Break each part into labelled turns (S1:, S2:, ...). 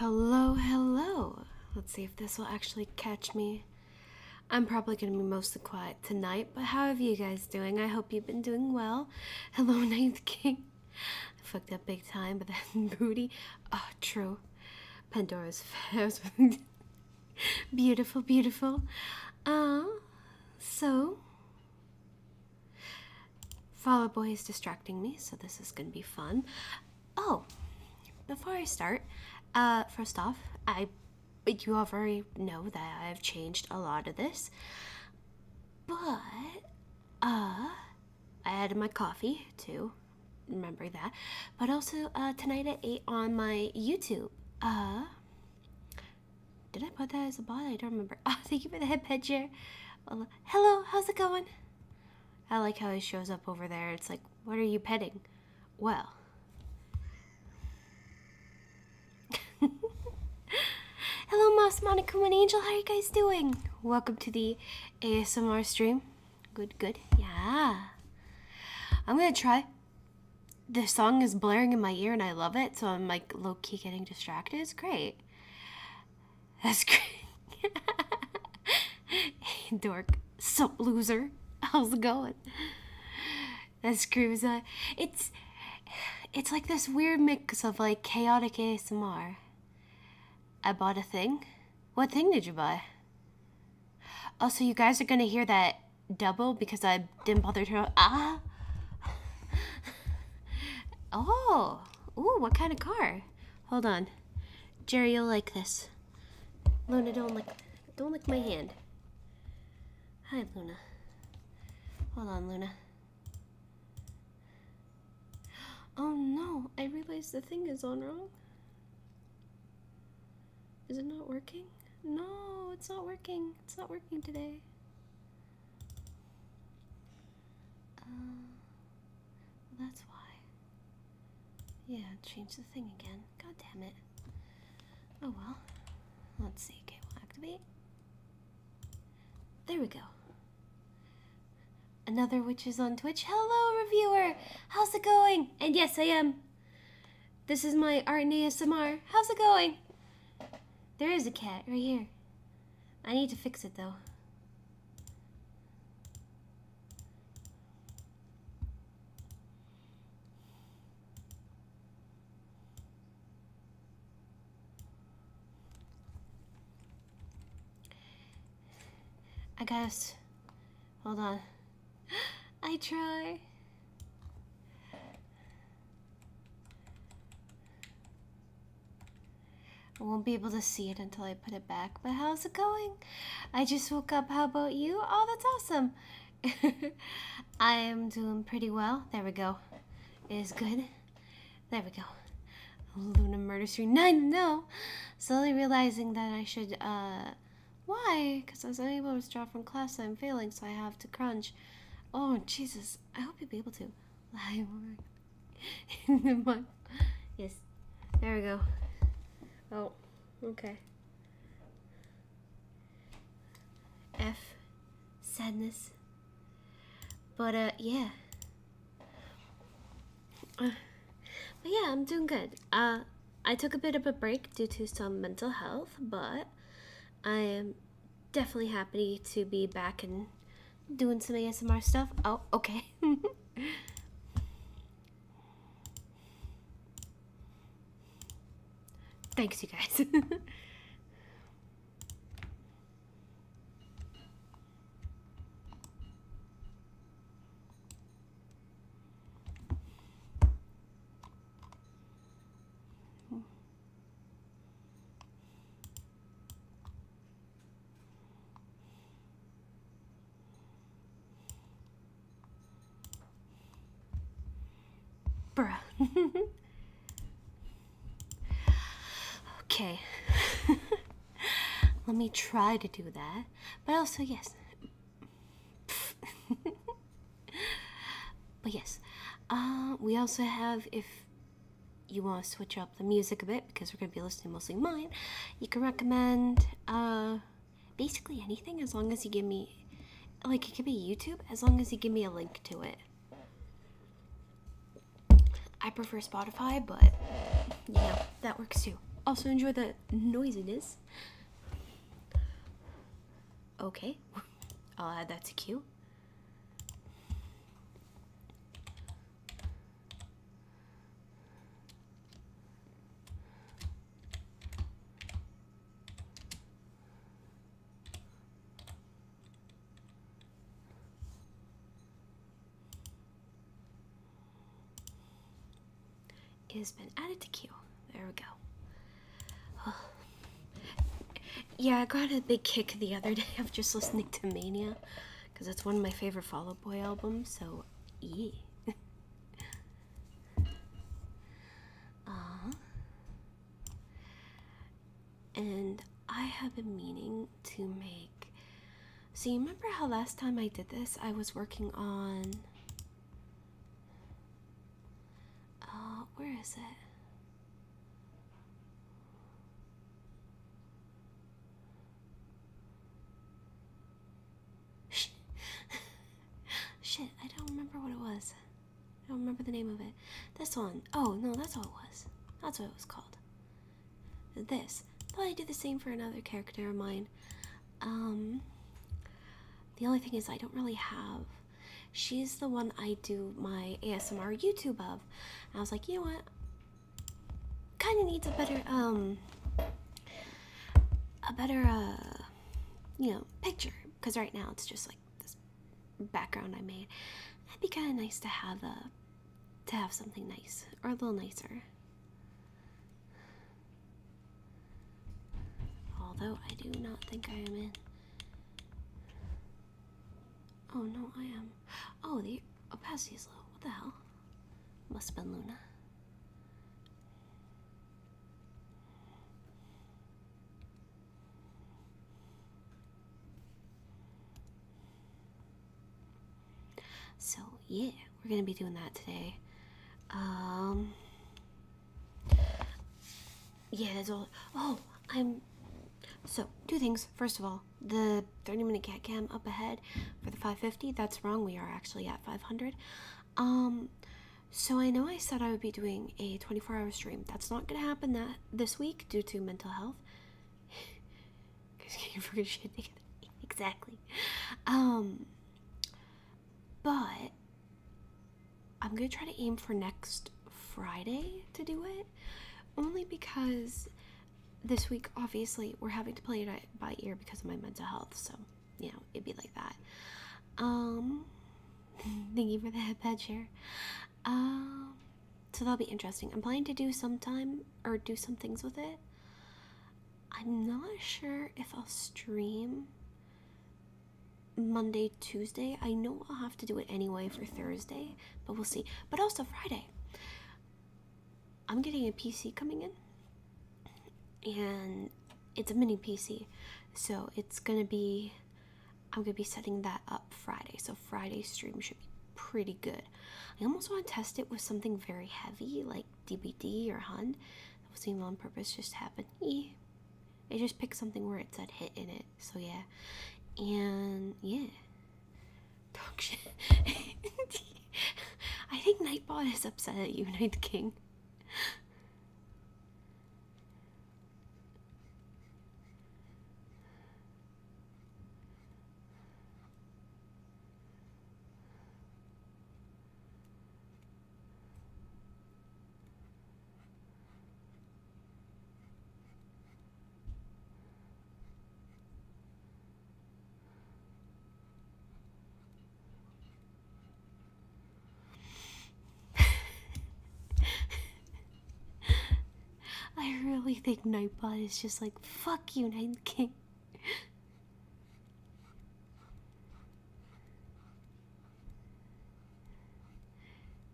S1: Hello, hello. Let's see if this will actually catch me. I'm probably going to be mostly quiet tonight, but how are you guys doing? I hope you've been doing well. Hello, Ninth King. fucked up big time, but that booty. Oh, true. Pandora's fast. beautiful, beautiful. Uh, so, Fall Boy is distracting me, so this is gonna be fun. Oh, before I start, uh, first off, I you already know that I've changed a lot of this, but uh, I added my coffee too remember that. But also uh, tonight at eight on my YouTube. Uh, did I put that as a bot? I don't remember. Oh, thank you for the head picture. Hello, how's it going? I like how he shows up over there. It's like, what are you petting? Well. Hello, Moss, Monica, and Angel. How are you guys doing? Welcome to the ASMR stream. Good, good. Yeah. I'm going to try the song is blaring in my ear and I love it, so I'm like low key getting distracted. It's great. That's great. hey, dork. So loser. How's it going? That's screams uh, it's it's like this weird mix of like chaotic ASMR. I bought a thing. What thing did you buy? Also, you guys are gonna hear that double because I didn't bother to. Ah! oh! Ooh, what kind of car? Hold on. Jerry, you'll like this. Luna, don't lick, don't lick my hand. Hi, Luna. Hold on, Luna. Oh no, I realize the thing is on wrong. Is it not working? No, it's not working. It's not working today. Uh, that's why. Yeah, change the thing again. God damn it. Oh well. Let's see. Okay, we'll activate. There we go. Another witch is on Twitch. Hello, reviewer! How's it going? And yes, I am this is my art and How's it going? There is a cat right here. I need to fix it though. I guess. Hold on. I try. I won't be able to see it until I put it back, but how's it going? I just woke up. How about you? Oh, that's awesome. I am doing pretty well. There we go. It is good. There we go. Luna Murder three 9, no! Slowly realizing that I should uh, why? Because I was unable to draw from class, I'm failing, so I have to crunch. Oh, Jesus. I hope you'll be able to. In the mud. Yes. There we go. Oh, okay. F. Sadness. But, uh, yeah. Uh, but yeah, I'm doing good. Uh, I took a bit of a break due to some mental health, but I am definitely happy to be back and doing some ASMR stuff. Oh, okay. Thanks, you guys. Bruh. okay. Let me try to do that. But also, yes, but yes, uh, we also have if you want to switch up the music a bit because we're going to be listening mostly mine, you can recommend uh, basically anything as long as you give me like it could be YouTube as long as you give me a link to it. I prefer Spotify, but you know, that works too. Also, enjoy the noisiness. Okay. I'll add that to queue it has been added to queue. There we go. Yeah, I got a big kick the other day of just listening to Mania, because it's one of my favorite Fall Out Boy albums, so yeah. uh, uh-huh. and I have been meaning to make. So, you remember how last time I did this, I was working on. Uh, where is it? Shit. Shit, I don't remember what it was. I don't remember the name of it. This one. Oh, no, that's what it was. That's what it was called. This. Thought I'd do the same for another character of mine. Um, the only thing is, I don't really have She's the one I do my ASMR YouTube of. I was like, you know what? Kind of needs a better, um, a better, uh, you know, picture. Because right now it's just like this background I made. it would be kind of nice to have a, uh, to have something nice or a little nicer. Although I do not think I am in. Oh no, I am. Oh, the opacity is low. What the hell? Must have been Luna. So yeah, we're gonna be doing that today. Um yeah, that's all. Oh, I'm. So, two things. First of all, the 30 minute cat cam up ahead for the 550. That's wrong. We are actually at 500. Um, so I know I said I would be doing a 24 hour stream. That's not gonna happen that this week due to mental health. exactly. Um, but I'm gonna try to aim for next Friday to do it, only because this week obviously we're having to play it by ear because of my mental health. So you know it'd be like that. Um, thank you for the headpad share. Um, so that'll be interesting. I'm planning to do sometime or do some things with it. I'm not sure if I'll stream Monday, Tuesday. I know I'll have to do it anyway for Thursday, but we'll see. But also Friday. I'm getting a PC coming in, and it's a mini PC, so it's gonna be. I'm gonna be setting that up Friday, so Friday stream should be pretty good. I almost want to test it with something very heavy like DVD or Hun. That wasn't on purpose; just happened. E, I just picked something where it said hit in it. So yeah. And yeah. Talk shit. I think Nightbot is upset at you, Night King. I really think Nightbot is just like, fuck you, Night King.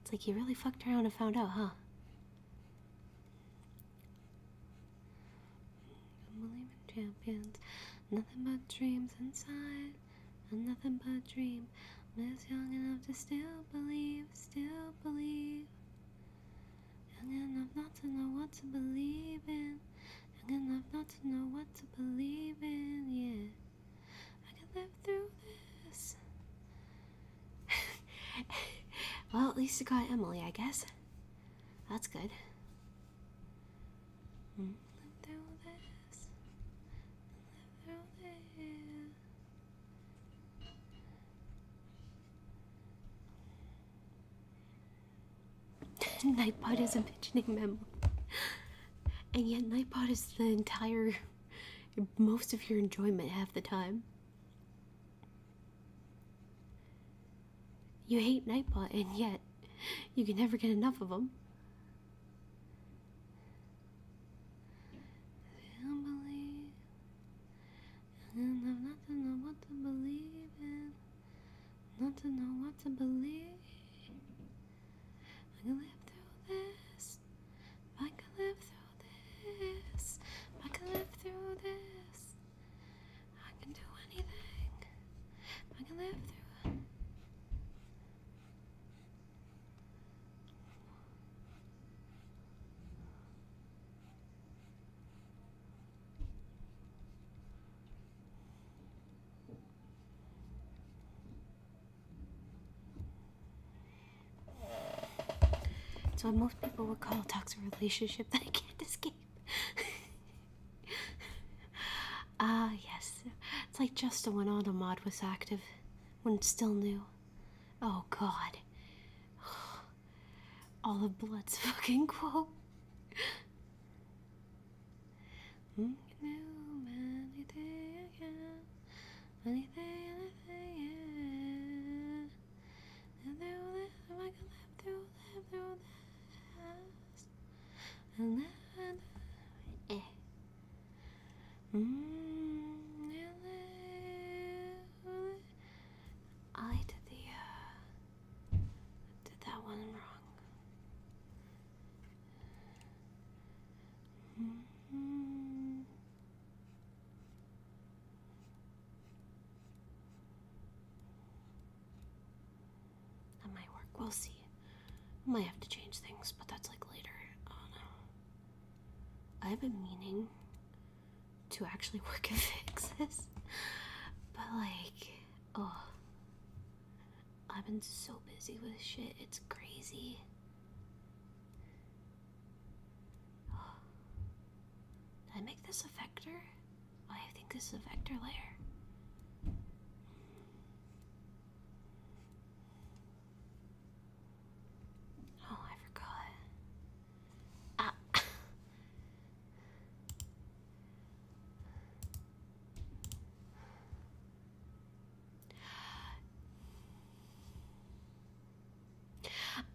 S1: It's like you really fucked around and found out, huh? Unbelieving champions, nothing but dreams inside, and nothing but dream. I'm just young enough to still believe, still believe. Young enough not to know what to believe in, young enough not to know what to believe in, yeah. I can live through this. well, at least it got Emily, I guess. That's good. Hmm. Live Nightbot is a mentioning memo. And yet Nightbot is the entire most of your enjoyment half the time. You hate night Nightbot, and yet you can never get enough of him. I don't know what to believe in. Not to know what to believe. I can live through this. I can live through this. I can live through this. I can do anything. I can live through it's what most people would call a toxic relationship that I can't escape. Ah, yes. It's like just the one on the mod was active when it's still new. Oh, God. All the blood's fucking quote.
S2: Anything, anything, yeah. And I can live, there will live, there will last. And eh. Mmm, and
S1: I did the, did that one wrong.
S2: Mm.
S1: might work. We'll see. Might have to change things, but that's like later. Uh, I've been meaning to actually work and fix this, but like, oh, I've been so busy with shit. It's crazy. Did I make this a vector? I think this is a vector layer. Oh, I forgot. Ah.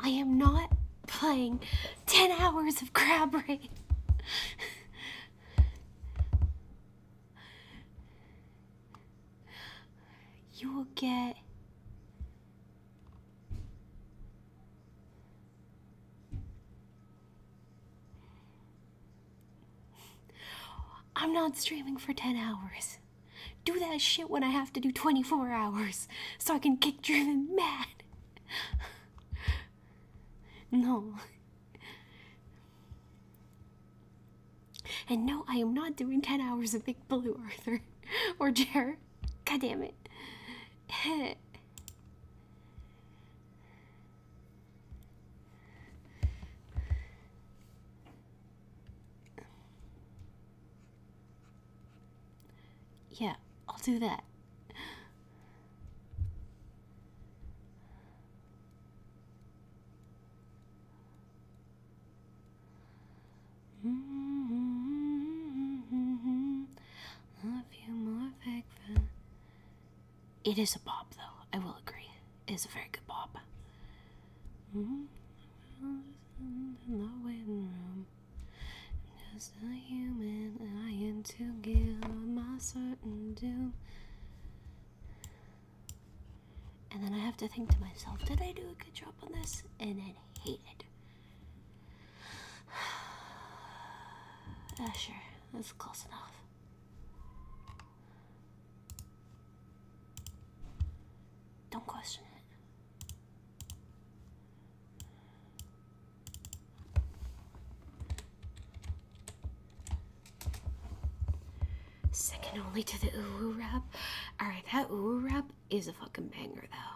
S1: I am not playing 10 hours of Crabby. you will get I'm not streaming for 10 hours. Do that shit when I have to do 24 hours so I can get driven mad. No. And no, I am not doing 10 hours of Big Blue, Arthur. Or Jer. God damn it. Yeah, I'll do that. It is a pop, though. I will agree is a very good pop. Mm In the waiting room, just a human lying to give my certain doom. And then I have to think to myself, did I do a good job on this? And then hate it. Ah, sure, that's close enough. Don't question it. Second only to the ooh rap. Alright, that ooh rap is a fucking banger though.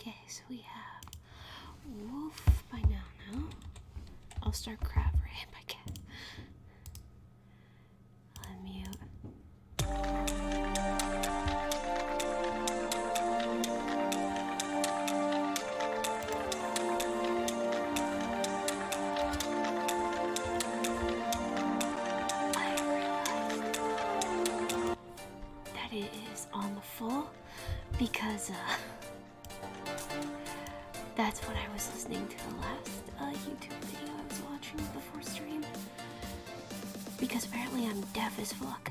S1: Okay, so we have wolf by now, I'll start crab right I guess. I'll that it is on the full because uh, that's what I was listening to the last uh, YouTube video I was watching before stream. Because apparently I'm deaf as fuck.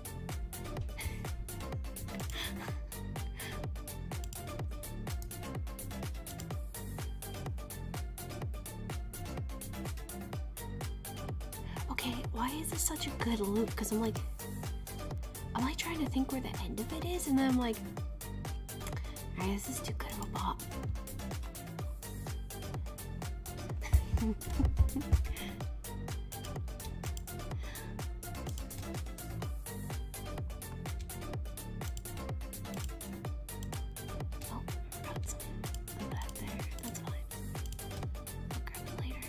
S1: okay, why is this such a good loop? Because I'm like, am I trying to think where the end of it is, and then I'm like, alright, this is too good of a bop. Oh, forgot some of that there. That's fine. I'll grab it later.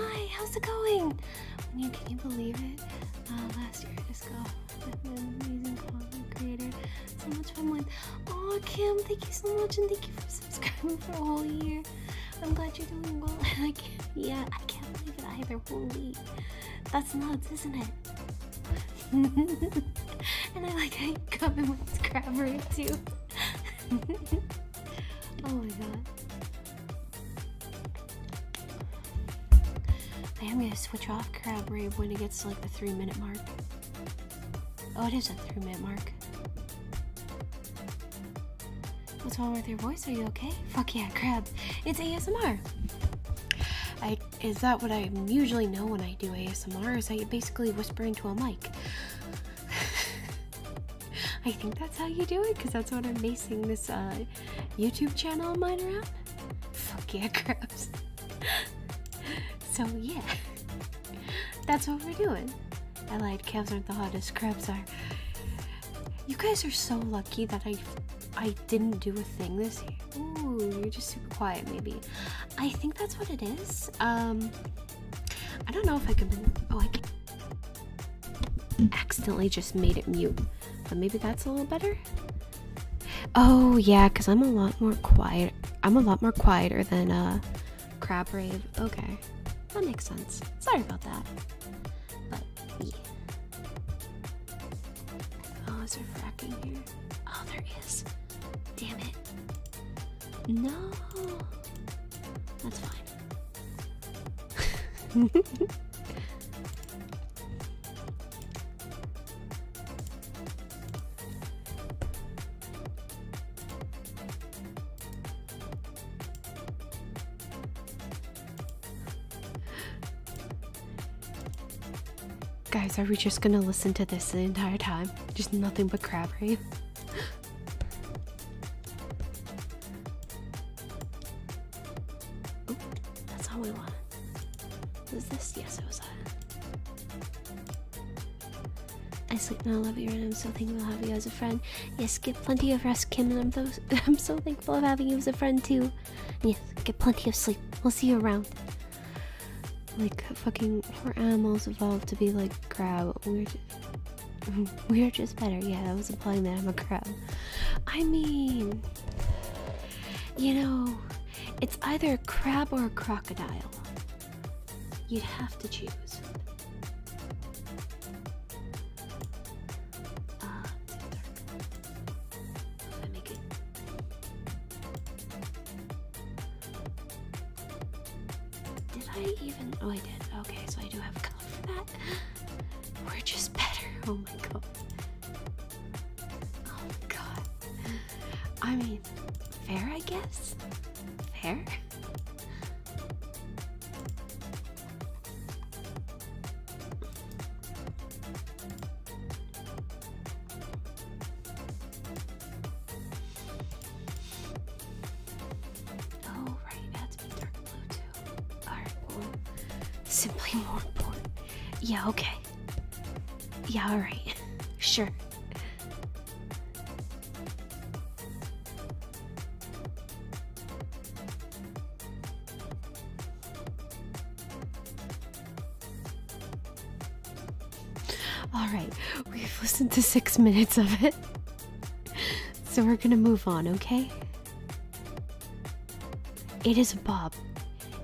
S1: Oh how's it going? can you believe it? Uh, last year at ISCO with an amazing content creator. So much fun with. Oh, Kim, thank you so much, and thank you for subscribing for a whole year. I'm glad you're doing well. yeah, I can't believe it either. Holy, that's nuts, isn't it?
S2: and
S1: I like I come in with Crabber too. oh my god. I am gonna switch off Crab Rave when it gets to like the three minute mark. Oh, it is a three minute mark. What's wrong with your voice? Are you okay? Fuck yeah, Crab. It's ASMR. is that what I usually know when I do ASMR? Is that I basically whispering to a mic. I think that's how you do it because that's what I'm basing this uh, YouTube channel mine around? Fuck yeah, gross. so yeah, that's what we're doing. I lied, crabs aren't the hottest, crabs are. You guys are so lucky that I I didn't do a thing this year. Ooh, you're just super quiet maybe. I think that's what it is. Um I don't know if I can oh I can accidentally just made it mute. But maybe that's a little better. Oh yeah, because I'm a lot more quiet. I'm a lot more quieter than uh crab rave. Okay. That makes sense. Sorry about that. But Oh, is there fracking here? Oh there is. Damn it. No. That's fine. Guys, are we just gonna listen to this the entire time? Just nothing but crab rain. Oh, that's all we want. Is this? Yes, it was I sleep and I love you, and I'm so thankful to have you as a friend. Yes, get plenty of rest, Kim, and I'm, so I'm so thankful of having you as a friend, too. Yes, get plenty of sleep. We'll see you around. Like, fucking, poor animals evolved to be like crow. We're just, better. Yeah, that was implying that I'm a crow. I mean, you know, it's either a crab or a crocodile. You'd have to choose. Did I even? Oh, I did. Okay, so I do have color for that. We're just better. Oh my god. Oh god. I mean, fair, I guess? Fair? Oh, right, it dark blue too are simply more important. Yeah, okay. Yeah, alright. sure. Alright, we've listened to six minutes of it. So we're gonna move on, okay? It is bob.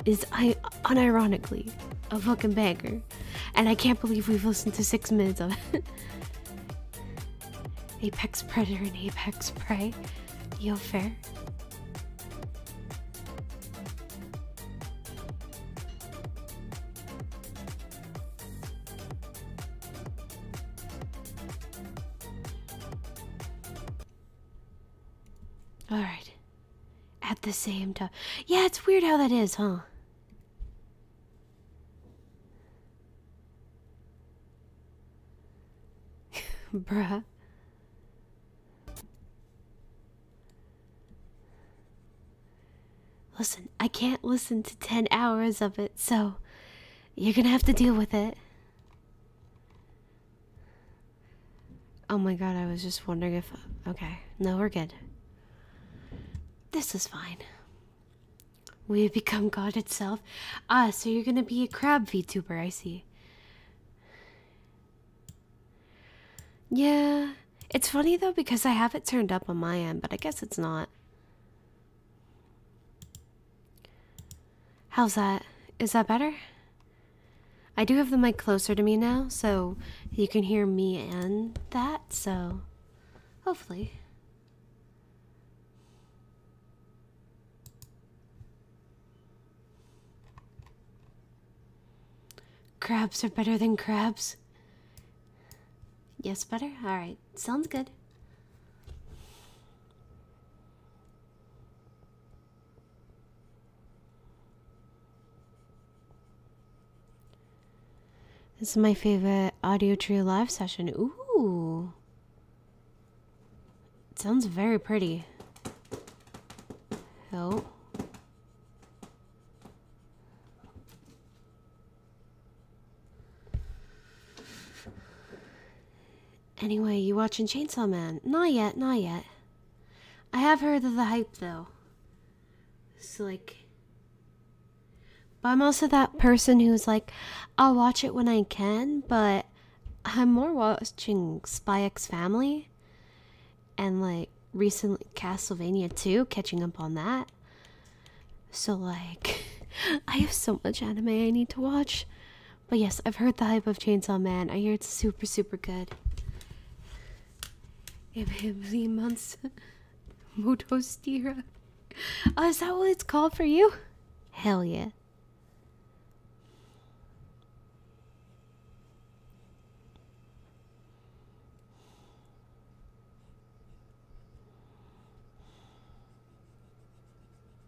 S1: is I unironically a fucking banker, And I can't believe we've listened to six minutes of it. Apex Predator and Apex Prey. Yo fair. Alright. At the same time. Yeah, it's weird how that is, huh? Bruh. Listen, I can't listen to 10 hours of it, so you're gonna have to deal with it. Oh my god, I was just wondering if. Okay, no, we're good. This is fine. We have become God itself. Ah, so you're gonna be a crab VTuber, I see. Yeah, it's funny though because I have it turned up on my end, but I guess it's not. How's that? Is that better? I do have the mic closer to me now, so you can hear me and that, so hopefully. Crabs are better than crabs. Yes, better? Alright, sounds good. This is my favorite audio tree live session. Ooh. It sounds very pretty. Oh. Anyway, you watching Chainsaw Man? Not yet, not yet. I have heard of the hype though. It's like. But I'm also that person who's like, I'll watch it when I can, but I'm more watching Spy X Family and like recently Castlevania 2, catching up on that. So, like, I have so much anime I need to watch. But yes, I've heard the hype of Chainsaw Man. I hear it's super, super good. Ibhibli Months Motostira. Oh, is that what it's called for you? Hell yeah.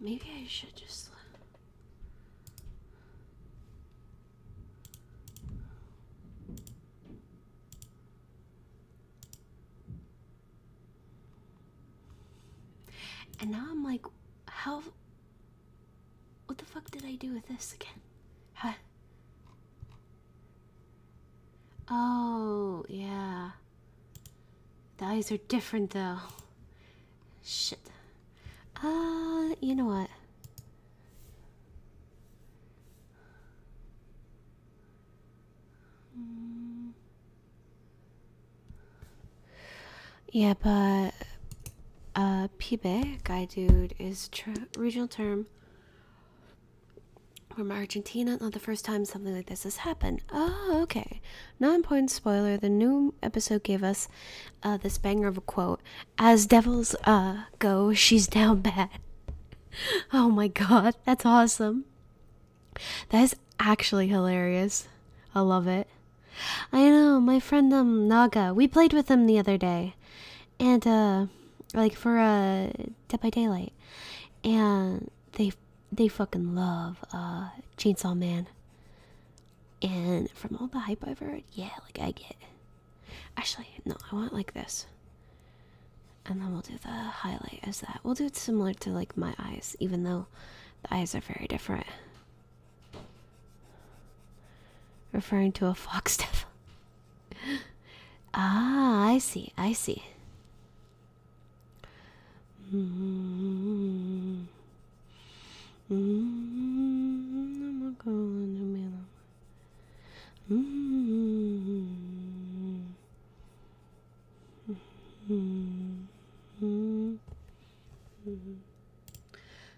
S1: Maybe I should just. And now I'm like, how what the fuck did I do with this again? Huh? Oh, yeah. The eyes are different though. Shit. Uh, you know what? Hmm. Yeah, but uh, pibe, guy dude, is regional term from Argentina. Not the first time something like this has happened. Oh, okay. Non-point spoiler. The new episode gave us uh, this banger of a quote: "As devils uh go, she's down bad." Oh my god, that's awesome. That is actually hilarious. I love it. I know, my friend um Naga. We played with him the other day. And uh like for uh Dead by Daylight. And they they fucking love uh Chainsaw Man. And from all the hype I've heard, yeah, like I get Actually, no, I want like this. And then we'll do the highlight as that. We'll do it similar to like my eyes, even though the eyes are very different. Referring to a fox devil. ah, I see, I see.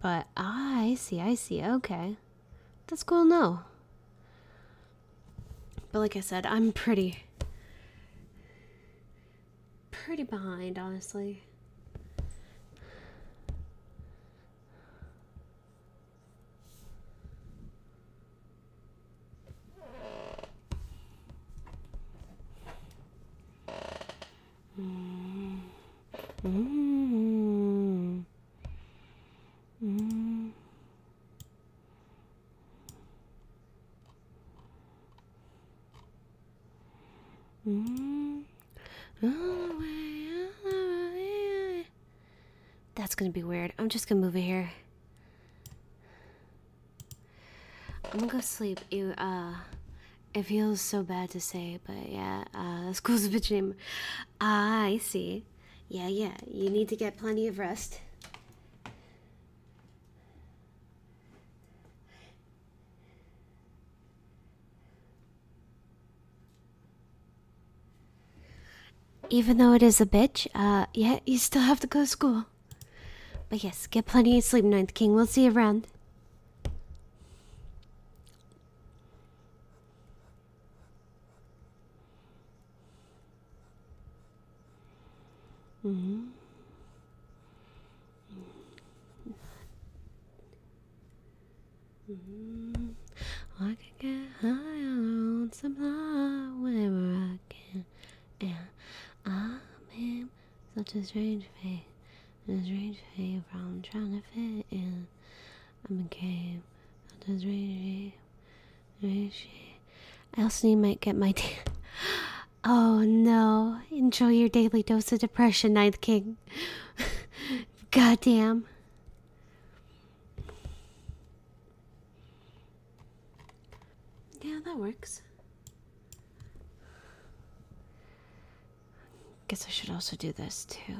S1: But I see, I see. Okay. That's cool, no. But like I said, I'm pretty pretty behind, honestly.
S2: Mm -hmm. Mm -hmm. Mm -hmm.
S1: That's gonna be weird. I'm just gonna move it here. I'm gonna go sleep. You uh, it feels so bad to say, but yeah, uh, school's a bitch ah, I see. Yeah, yeah, you need to get plenty of rest. Even though it is a bitch, uh, yeah, you still have to go to school. But yes, get plenty of sleep, Ninth King. We'll see you around.
S2: Mm-hmm. Mm-hmm.
S1: I can get high on supply whenever I can, and I'm in such a strange fate, and a strange fate from trying to fit in. I became such a strange shape, I also might get my oh no, enjoy your daily dose of depression, Ninth King. Goddamn. Yeah, that works. Guess I should also do this too.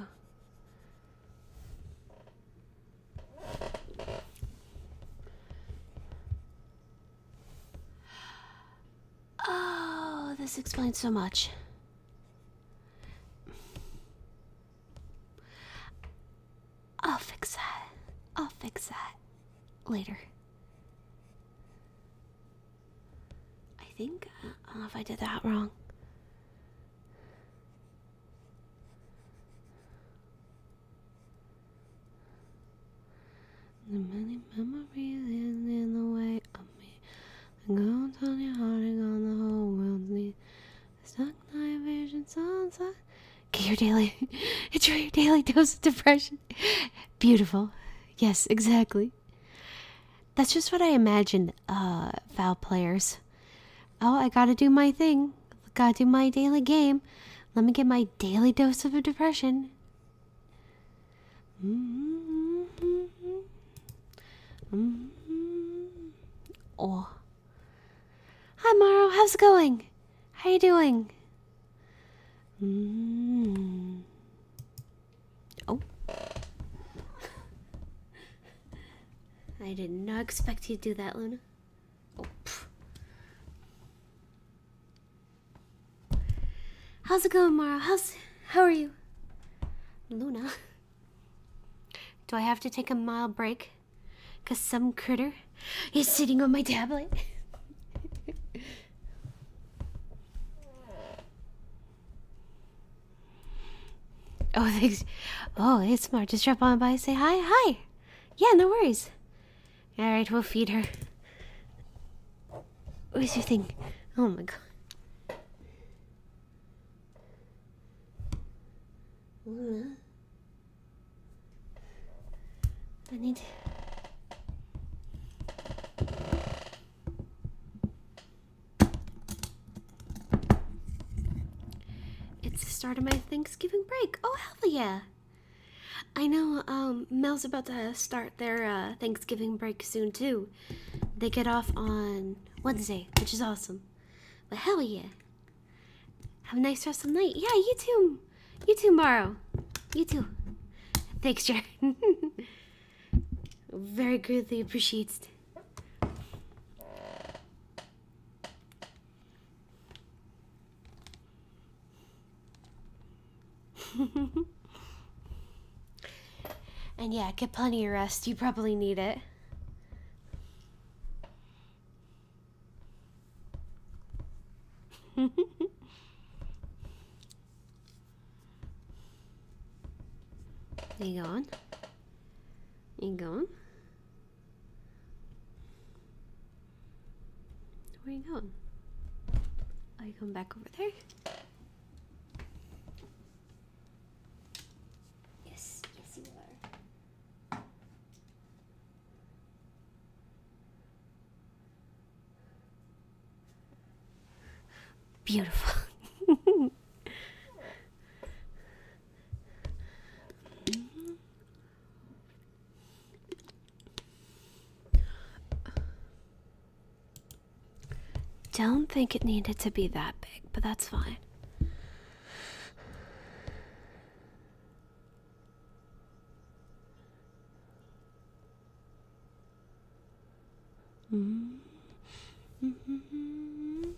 S1: Oh, this explains so much. I'll fix that. I'll fix that later. I think I don't know if I did that wrong. The many memories is in the way of me. I'm The gold on your heart and on the whole world's need. The stuck night vision sunset. Get your daily enjoy your daily dose of depression. Beautiful. Yes, exactly. Seriously? That's just what I imagined, uh, foul players. Oh, I gotta do my thing. Gotta do my daily game. Let me get my daily dose of depression. Mm -hmm. Mm -hmm. Oh. Hi, Morrow. How's it going? How you doing? Mm -hmm. Oh. I did not expect you to do that, Luna. Oh. How's it going, Mara? How's how are you? Luna. Do I have to take a mild break? Cause some critter is sitting on my tablet. Oh, thanks. Oh, it's smart. Just drop on by say hi. Hi. Yeah, no worries. All right, we'll feed her. Where's your thing? Oh my god. I need. It's the start of my Thanksgiving break. Oh, hell yeah! I know, um, Mel's about to start their uh, Thanksgiving break soon, too. They get off on Wednesday, which is awesome. But hell yeah! Have a nice rest of the night. Yeah, you too! You too, Morrow. You too. Thanks, Jared. very greatly appreciated. and yeah, get plenty of rest. You probably need it. There you go on. you go Where are you going? Are oh, you going back over there?
S2: Yes, yes you are. Beautiful.
S1: Don't think it needed to be that big, but that's fine. Mm -hmm.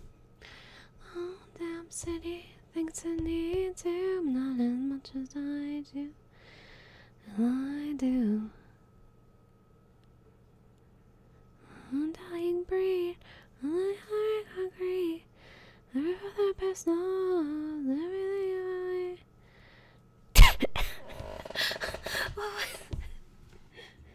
S1: Oh, damn city thinks I need you, not as much as I do. I do. dying breed, my heart hungry. Never for the best knows everything I. what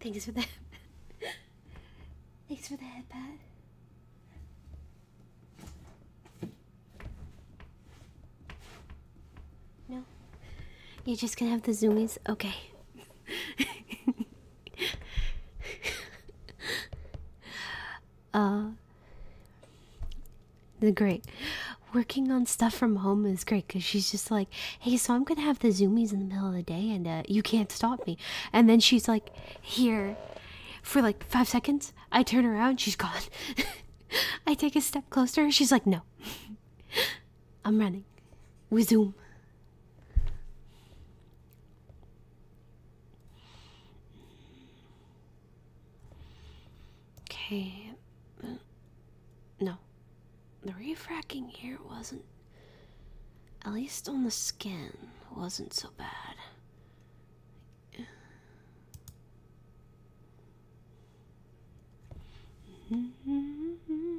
S1: Thanks for the Thanks for the head pat. No. You're just gonna have the zoomies? Okay. uh the great working on stuff from home is great because she's just like hey so i'm gonna have the zoomies in the middle of the day and uh, you can't stop me and then she's like here for like five seconds i turn around she's gone i take a step closer she's like no i'm running we zoom Okay. No. The refracking here wasn't. At least on the skin, wasn't so bad.
S2: Mm-hmm.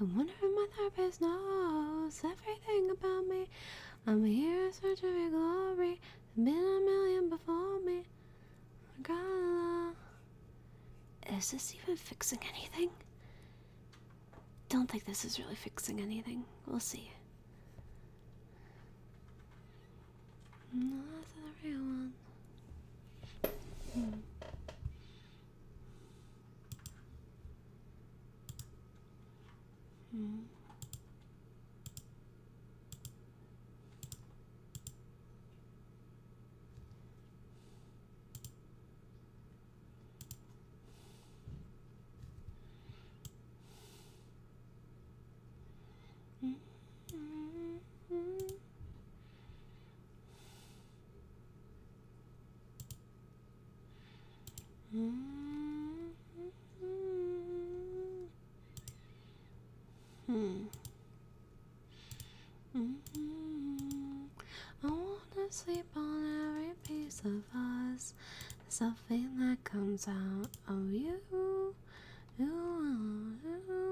S1: I wonder if my therapist knows everything about me. I'm here in search of your glory. There's been a million before me. Is this even fixing anything? Don't think this is really fixing anything. We'll see. No, that's the real one.
S2: Hmm. Hmm. -hmm. hmm. hmm. hmm. Hmm. Mm
S1: -hmm. I wanna sleep on every piece of us. Something that comes out of you. Ooh,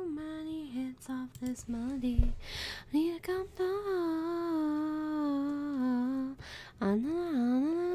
S1: many hits off this melody. need to come
S2: down. Ah, nah, nah, nah,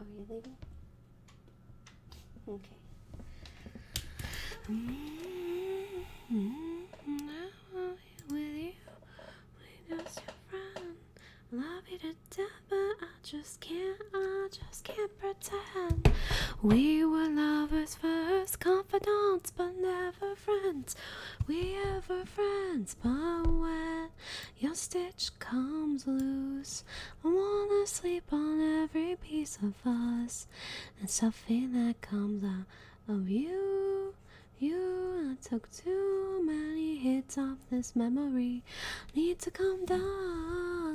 S1: are you leaving? Okay. Now with you, we just your Love you to death, but I just can't, I just can't pretend. We were lovers first, confidant but never friends. We ever friends, but when your stitch comes loose, I wanna sleep on every piece of us and something that comes out of you. You I took too many hits off this memory. Need to come down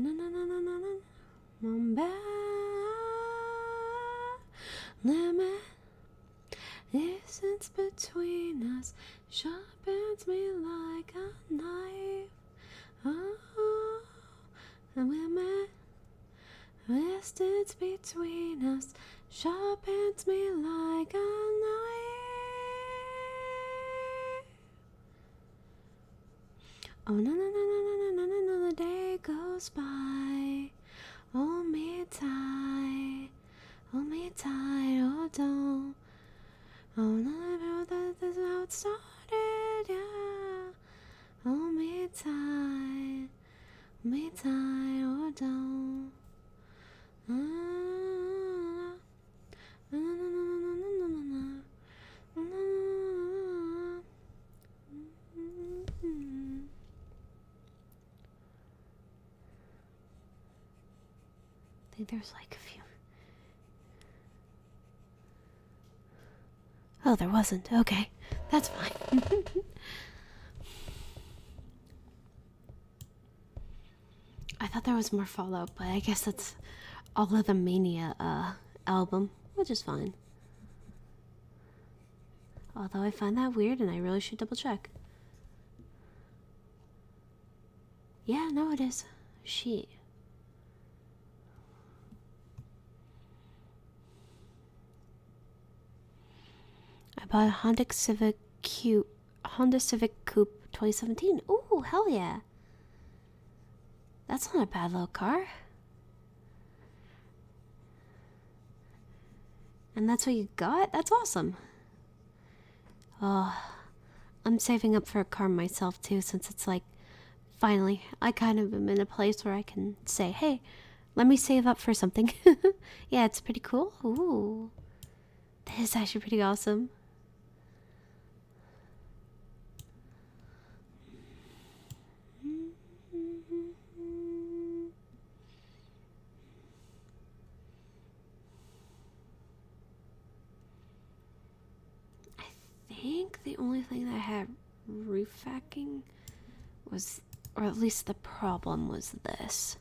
S1: na na na na na na Mamba Limit Distance between us sharpens me like a knife Oh Limit Distance between us sharpens me like a knife Oh no no no no no no no no! The day goes by. Hold me tight, hold me tight, oh, don't. Oh no no, that that's how it started, yeah. Hold me tight,
S2: hold me tight, hold oh, on. Ah. I
S1: think there's like a few. Oh, there wasn't. Okay, that's fine. I thought there was more Fallout, but I guess that's all of the Mania uh, album, which is fine. Although I find that weird and I really should double check. Yeah, no, it is. She. I bought a Honda Civic Q Honda Civic Coupe 2017. Ooh, hell yeah. That's not a bad little car. And that's what you got? That's awesome. Oh, I'm saving up for a car myself too, since it's like finally I kind of am in a place where I can say, hey, let me save up for something. yeah, it's pretty cool. Ooh. This actually pretty awesome. I think the only thing that had roofacking was, or at least the problem was this.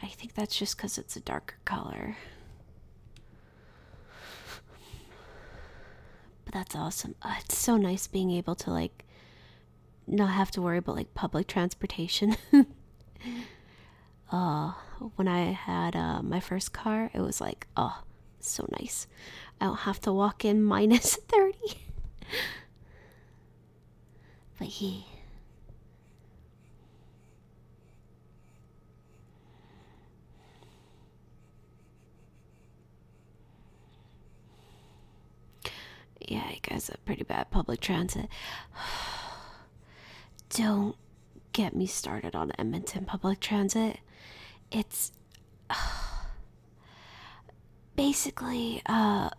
S1: I think that's just because it's a darker color. But that's awesome. Uh, it's so nice being able to like not have to worry about like public transportation. uh, when I had uh, my first car, it was like, oh, so nice. I don't have to walk in minus 30. but yeah. Yeah, it guess a pretty bad public transit. Don't get me started on Edmonton public transit. It's basically uh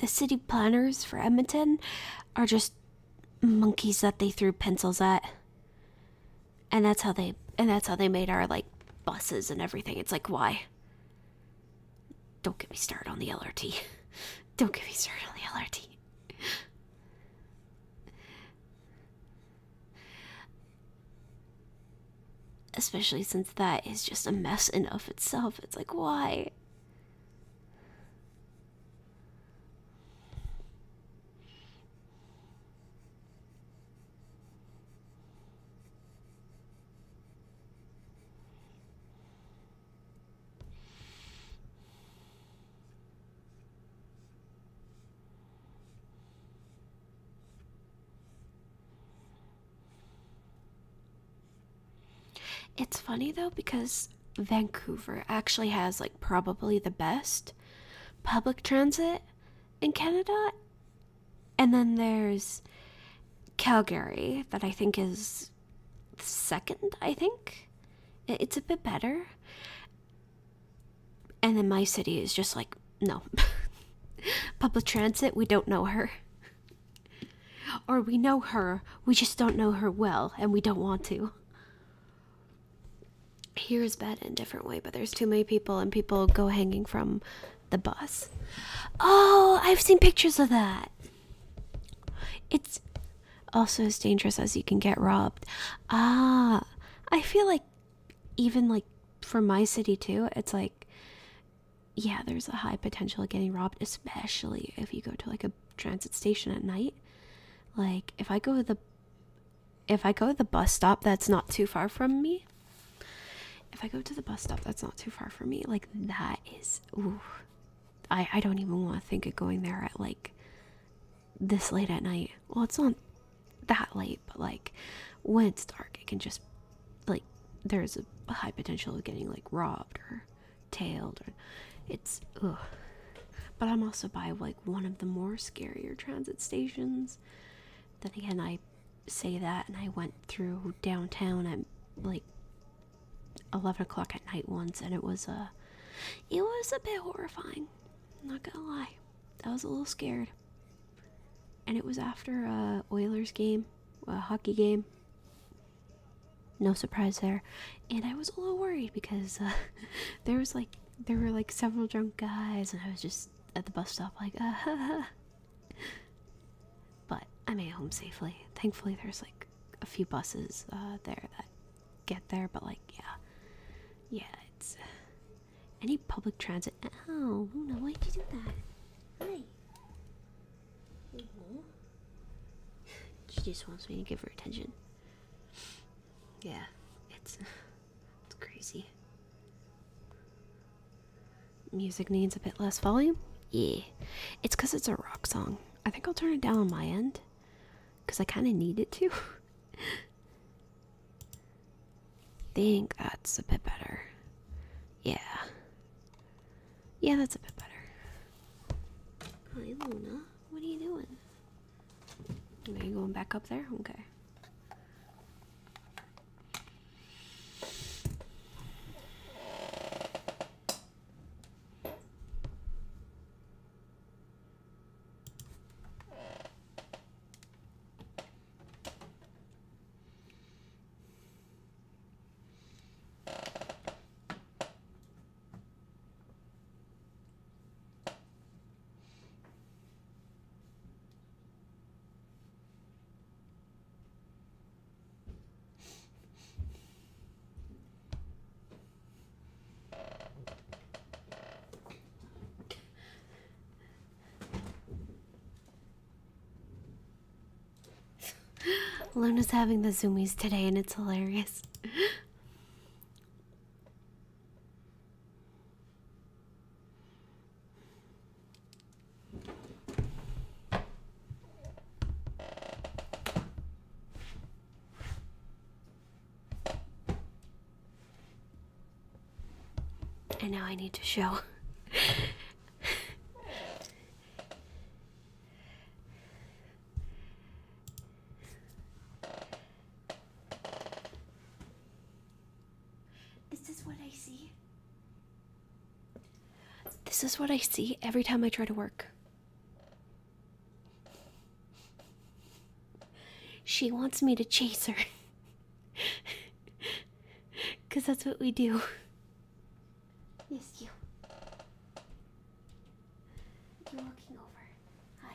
S1: the city planners for Edmonton are just monkeys that they threw pencils at and that's how they and that's how they made our like buses and everything it's like why don't get me started on the lrt don't get me started on the lrt especially since that is just a mess in of itself it's like why it's funny though because Vancouver actually has like probably the best public transit in Canada. And then there's Calgary, that I think is second, I think. It's a bit better. And then my city is just like, no. public transit, we don't know her. Or we know her, we just don't know her well, and we don't want to here is bad in a different way, but there's too many people and people go hanging from the bus. Oh, I've seen pictures of that. It's also as dangerous as you can get robbed. Ah, I feel like even like for my city too, it's like yeah, there's a high potential of getting robbed, especially if you go to like a transit station at night. Like if I go to the if I go to the bus stop that's not too far from me, if I go to the bus stop that's not too far from me, like that is, ooh, I, I don't even want to think of going there at like this late at night. Well, it's not that late, but like when it's dark, it can just, like, there's a high potential of getting like robbed or tailed. Or, it's, ugh, but I'm also by like one of the more scarier transit stations. Then again, I say that, and I went through downtown at like eleven o'clock at night once, and it was a, uh, it was a bit horrifying. not gonna lie, I was a little scared. And it was after a Oilers game, a hockey game. No surprise there, and I was a little worried because uh, there was like there were like several drunk guys, and I was just at the bus stop, like, ah, ha, But I made it home safely. Thankfully, there's like a few buses uh, there that get there, but like, yeah, yeah, it's uh, any public transit. Ow, no! why did you do that? Hi. Mm-hmm. She just wants me to give her attention. Yeah, it's. It's crazy. Music needs a bit less volume? Yeah. It's because it's a rock song. I think I'll turn it down on my end because I kind of need it to. think that's a bit better. Yeah. Yeah, that's a bit better. Hi, Luna. What are you doing? Are you going back up there? Okay. Luna's having the zoomies today and it's hilarious. And now I need to show. This is what I see. This is what I see every time I try to work. She wants me to chase her. Because that's what we do. Yes, you. You're walking over. Hi.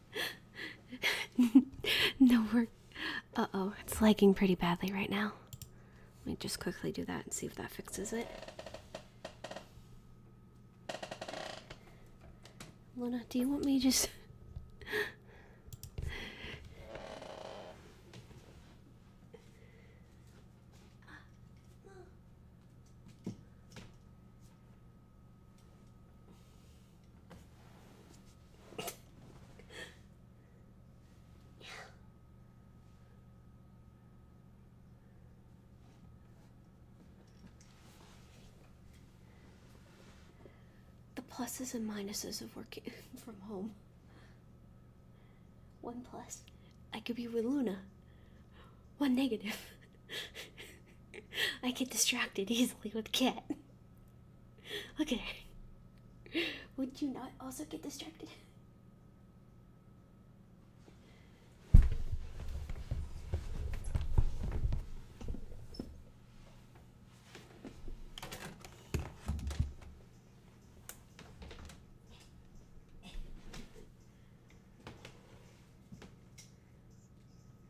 S1: no, work. Uh oh, it's lagging pretty badly right now. Let me just quickly do that and see if that fixes it. Luna, do you want me just the pluses and minuses of working from home. One plus, I could be with Luna. One negative, I get distracted easily with Kit. Okay. Would you not also get distracted?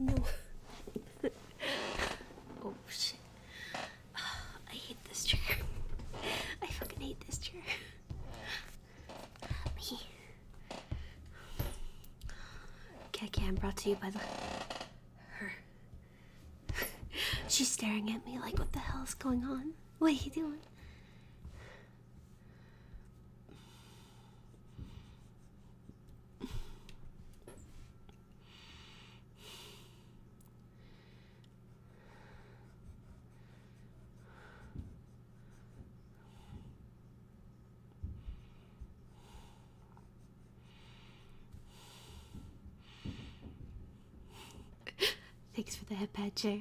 S1: no. oh shit. I hate this chair. I fucking hate this chair. me. Cat Cam brought to you by the her. She's staring at me like, what the hell is going on? What are you doing? Thanks for the headpad, Joe.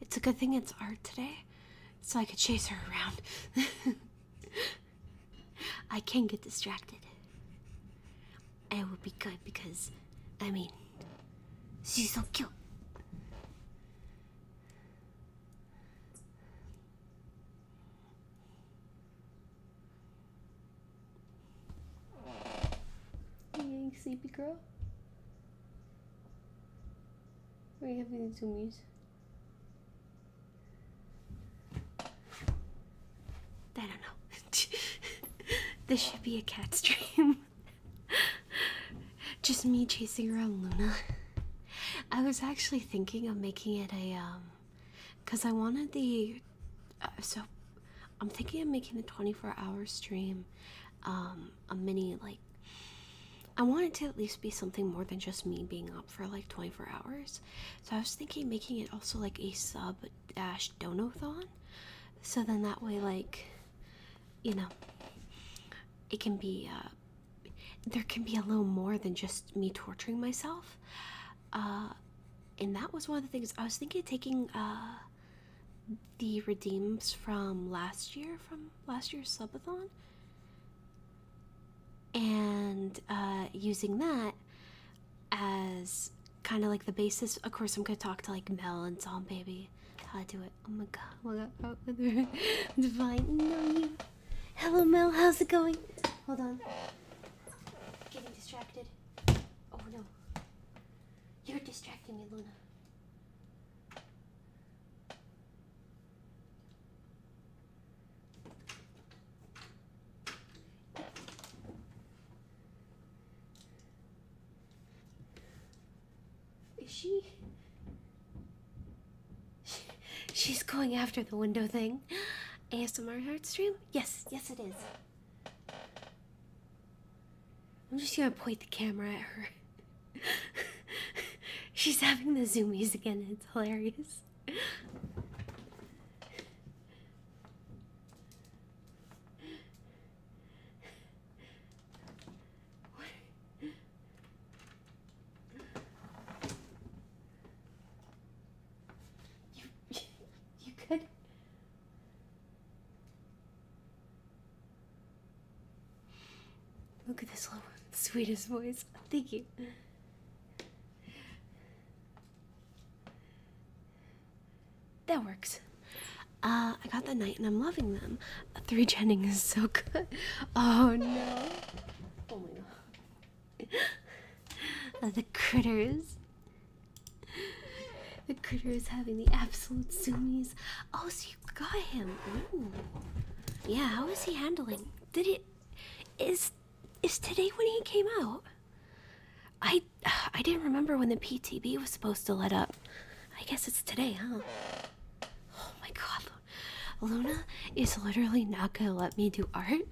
S1: It's a good thing it's art today, so I could chase her around. I can get distracted. It would be good because, I mean, she's so cute. Getting sleepy girl? Are you having the I don't know. this should be a cat stream. Just me chasing around Luna. I was actually thinking of making it a um cuz I wanted the uh, so I'm thinking of making the 24-hour stream um a mini like I want it to at least be something more than just me being up for like 24 hours. So I was thinking making it also like a sub dash donathon. So then that way, like, you know, it can be, uh, there can be a little more than just me torturing myself. Uh, and that was one of the things I was thinking of taking uh, the redeems from last year, from last year's subathon, and uh, using that as kind of like the basis. Of course, I'm gonna talk to like Mel and Tom Baby. How to do it? Oh my god! Oh my god! Oh, divine. No, you. Hello, Mel. How's it going? Hold on. Getting distracted. Oh no. You're distracting me, Luna. Is she... She's going after the window thing. ASMR heart stream? Yes, yes it is. I'm just gonna point the camera at her. She's having the zoomies again, it's hilarious. You, could Look at this little sweetest voice. Thank you. That works. Uh, I got the night and I'm loving them. three Jennings is so good. Oh no. Oh my god. Uh, the critters. The critter is having the absolute zoomies. Oh, so you got him. Yeah, how is he handling? Did it. Is is today when he came out? I I didn't remember when the PTB was supposed to let up. I guess it's today, huh? Oh my god. Luna is literally not gonna let me do art.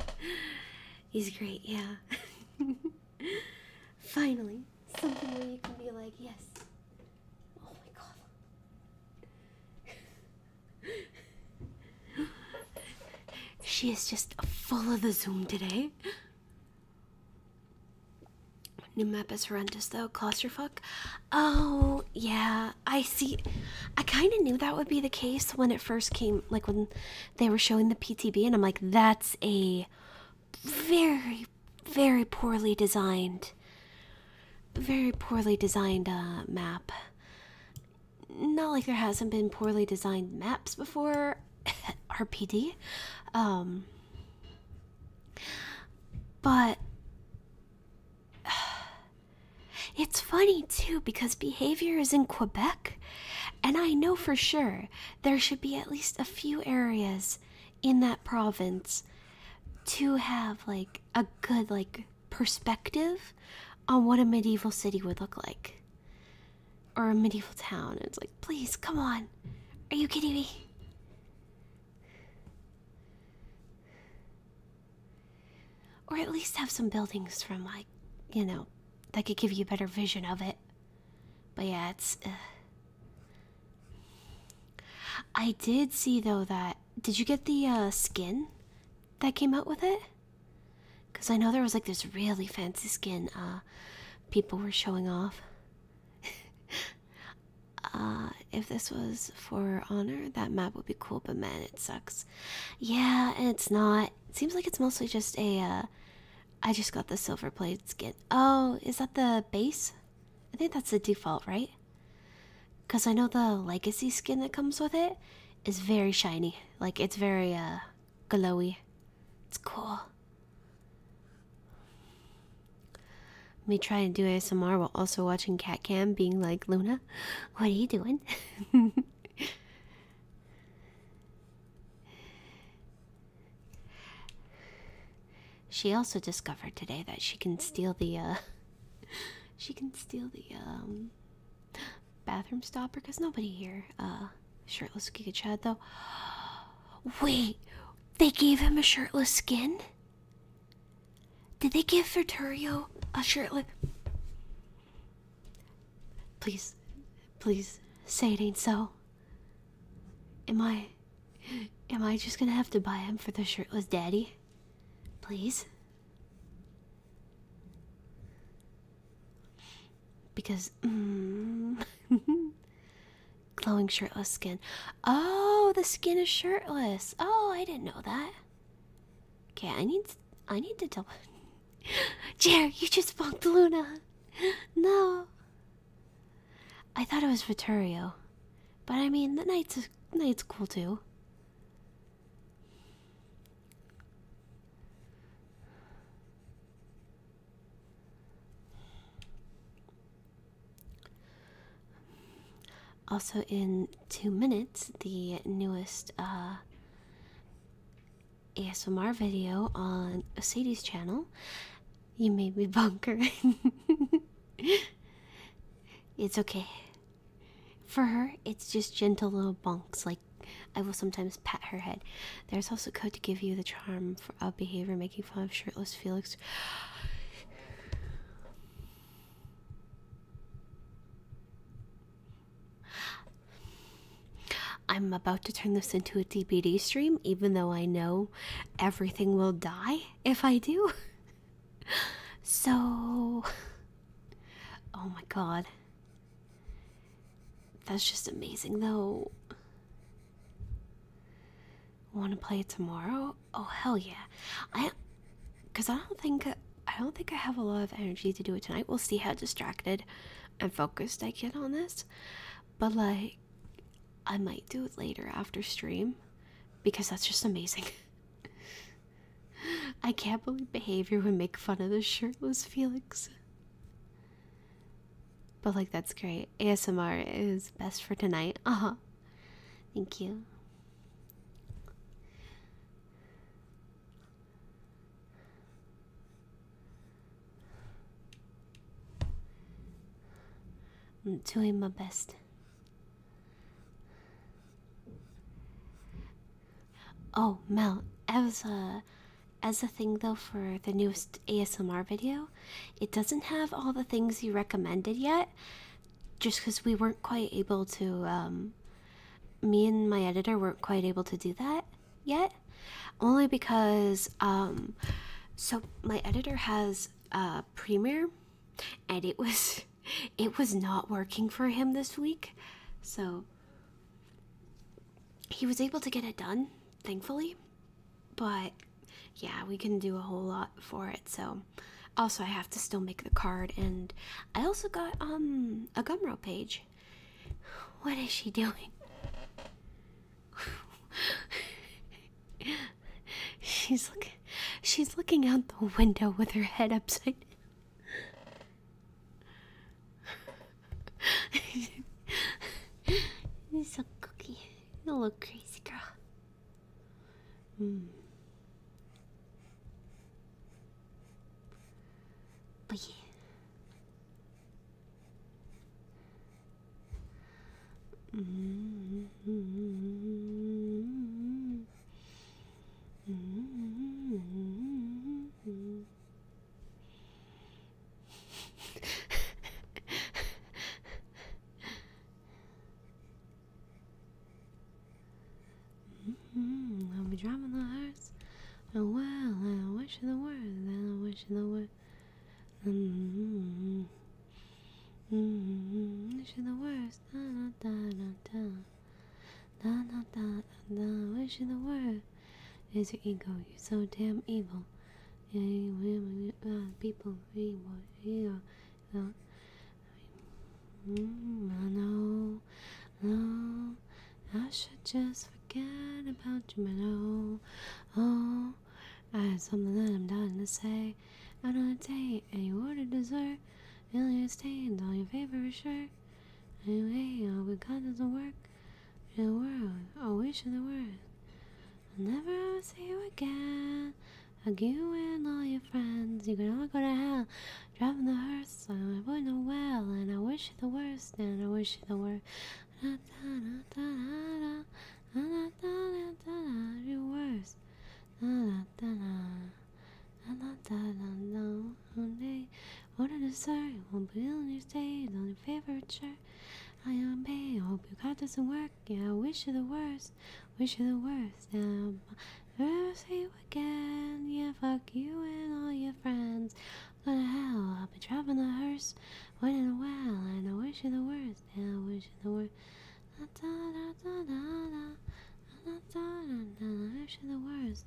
S1: He's great, yeah. Finally, something where you can be like, yes. Oh my god she is just full of the zoom today. New map is horrendous though. Clusterfuck. Oh yeah, I see. I kind of knew that would be the case when it first came, like when they were showing the PTB, and I'm like, that's a very, very poorly designed, very poorly designed uh, map. Not like there hasn't been poorly designed maps before. RPD. Um. But. It's funny too because behavior is in Quebec, and I know for sure there should be at least a few areas in that province to have like a good like perspective on what a medieval city would look like or a medieval town. It's like, please, come on. Are you kidding me? Or at least have some buildings from, like, you know, that could give you a better vision of it. But yeah, it's. Uh. I did see, though, that. Did you get the uh, skin that came out with it? Because I know there was like this really fancy skin uh, people were showing off. Uh, if this was for honor, that map would be cool, but man, it sucks. Yeah, and it's not. It seems like it's mostly just a. Uh, I just got the silver plated skin. Oh, is that the base? I think that's the default, right? Because I know the legacy skin that comes with it it's very shiny. Like it's very uh glowy. It's cool. Me trying to do ASMR while also watching Cat Cam being like Luna, what are you doing? she also discovered today that she can steal the uh she can steal the um bathroom stopper because nobody here uh shirtless Giga Chad though. Wait, they gave him a shirtless skin? Did they give Furturio a shirtless? Please, please say it ain't so. Am I am I just gonna have to buy him for the shirtless daddy? Please? Because mm, glowing shirtless skin. Oh, the skin is shirtless. Oh, I didn't know that. Okay, I need I need to double. Jer, you just bunked Luna. No. I thought it was Vittorio, but I mean the nights a, knight's cool too. Also, in two minutes, the newest uh, ASMR video on Sadie's channel. You made me bunker. it's okay. For her, it's just gentle little bunks. like I will sometimes pat her head. There's also code to give you the charm for of behavior, making fun of shirtless Felix. I'm about to turn this into a DBD stream, even though I know everything will die if I do. so, oh my god. That's just amazing, though. Want to play it tomorrow? Oh hell yeah! I, cause I don't think I don't think I have a lot of energy to do it tonight. We'll see how distracted and focused I get on this, but like, I might do it later after stream, because that's just amazing. I can't believe behavior would make fun of the shirtless Felix. But, like, that's great. ASMR is best for tonight. Uh huh. Thank you. I'm doing my best. Oh, Mel, as a as a thing though for the newest ASMR video, it doesn't have all the things you recommended yet. Just because we weren't quite able to, um, me and my editor weren't quite able to do that yet, only because um, so my editor has a Premiere, and it was it was not working for him this week, so he was able to get it done, thankfully, but yeah, we couldn't do a whole lot for it. So, also, I have to still make the card, and I also got um a Gumroad page. What is she doing? she's looking. She's looking out the window with her head upside. down. You're so cookie. You look
S2: crazy, girl. Mm. But yeah. Mm -hmm. Mm -hmm. Mm -hmm
S1: mm -hmm. I'll be driving the hearts. Oh well, I wish you the worst. I wish you the worst. Mm -hmm. Mm -hmm. Wish you the worst. Da, da, da, da, da. Da da da da. Wish in the world is your ego. You're so damn evil. Yeah, People, Yeah, I know, no, I should just forget about you, man. Oh, oh, I have something that I'm dying to say. I'm on a date, and you ordered dessert. Really, I stayed on your favorite shirt. Anyway, all we got is the work in the world, a wish in the world. I'll never ever see you again. Hug you and all your friends. You can all go to hell. Driving the hearse, I avoid the well. And I wish you the worst, and I wish you the worst. Da, da, da, da, da, da, da, da, da, da, da, da, da, da, da, da, da, da, da, da, one day. What a dessert, won't be on your stage, on your favorite chair. I am I hope your card doesn't work. Yeah, I wish you the worst, wish you the worst. Yeah, um, never see you again. Yeah, fuck you and all your friends. Go to hell, I'll be driving the hearse. Wait in a while, and I wish you the worst. Yeah, wish you the worst. Da da da da da da da da da wish you the worst.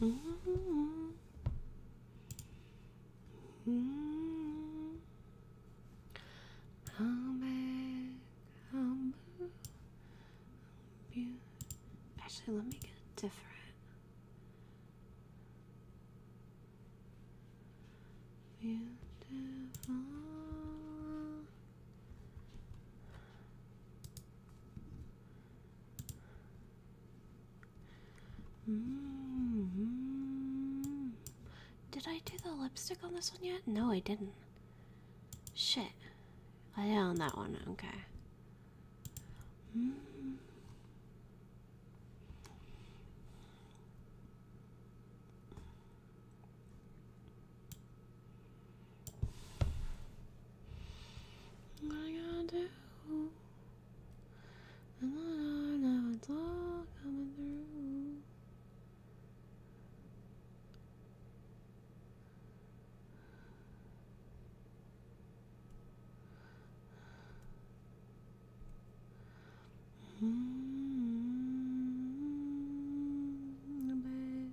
S2: -hmm. -hmm. I'll make, I'll move, Actually, let me get a different. Beautiful.
S1: -hmm. Did I do the lipstick on this one yet? No, I didn't. Shit. I did on that one. Okay. -hmm.
S2: What I going to do? And I know it's all coming through. -hmm, babe.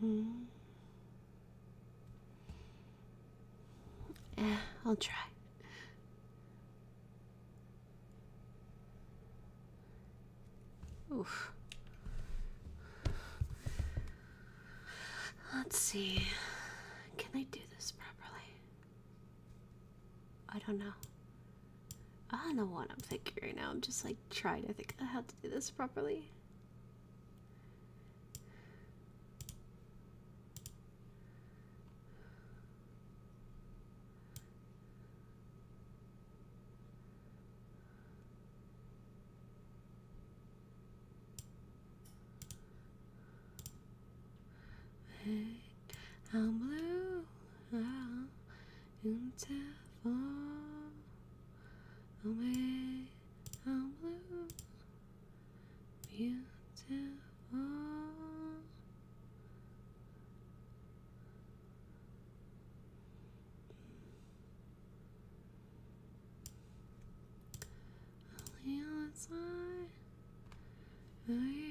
S1: Hmm. Yeah, I'll try. Oof. Let's see. Can I do this properly? I don't know. I don't know what I'm thinking right now. I'm just like trying to think how to do this properly.
S2: I'm blue. Ah into fall. Away, how blue, beautiful. Only outside, are you?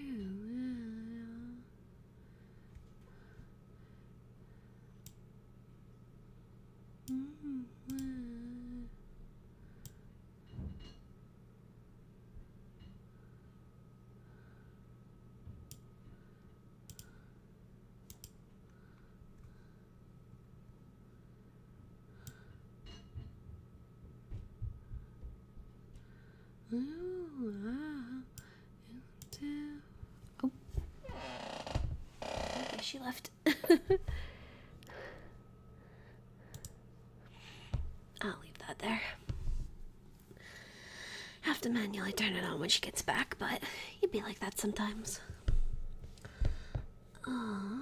S2: Mm-hmm. Ooh, ah. Oh. Okay,
S1: she left. I'll leave that there. Have to manually turn it on when she gets back, but you'd be like that sometimes. Aww.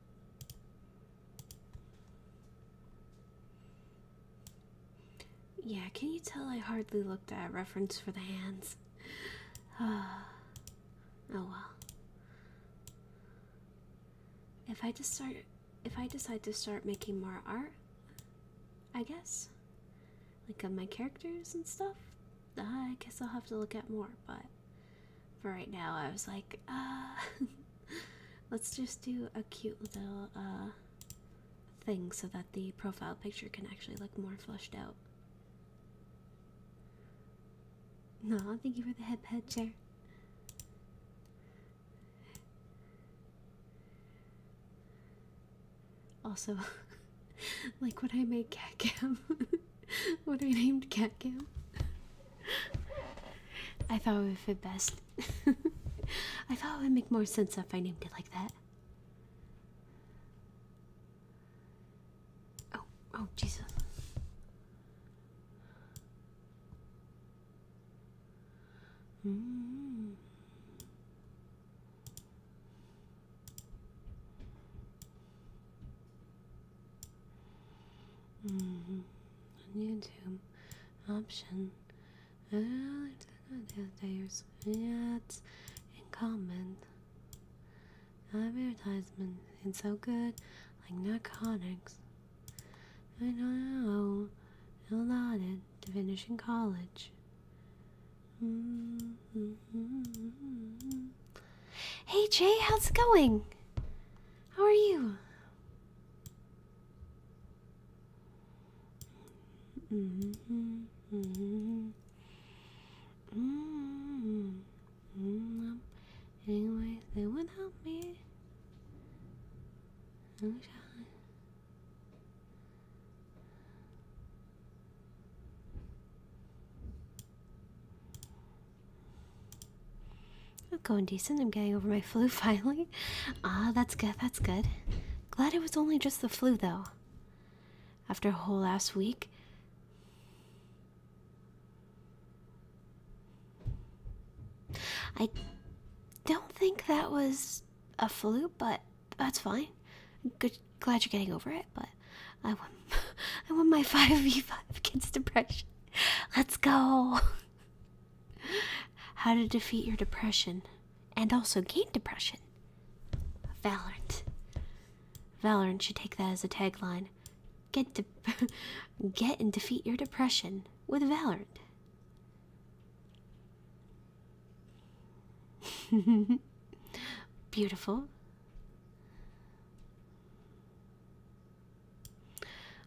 S1: Yeah, can you tell I hardly looked at reference for the hands? oh well. If I just start if I decide to start making more art, I guess. Like of my characters and stuff, uh, I guess I'll have to look at more, but for right now, I was like, uh, let's just do a cute little uh, thing so that the profile picture can actually look more flushed out. No, thank you for the head head chair. Also, like what I made Catcam. what I named Cat Cam. I thought it would fit best. I thought it would make more sense if I named it like that. Oh, oh, Jesus. On mm-hmm. YouTube, option. I don't know there's ads in comment. Advertisement. It's so good, like narcotics. I don't know. I'll it to finish in college. Mm-hmm. Hey Jay, how's it going? How are you? Anyway, they would help me. I'm trying. I'm going decent. I'm getting over my flu finally. Ah, that's good. That's good. Glad it was only just the flu though. After a whole last week. I don't think that was a flu, but that's fine. Good, glad you're getting over it. But I want, I want my five v five kids to depression. Let's go. How to defeat your depression and also gain depression. Valorant. Valorant should take that as a tagline. Get de get and defeat your depression with Valorant. Beautiful.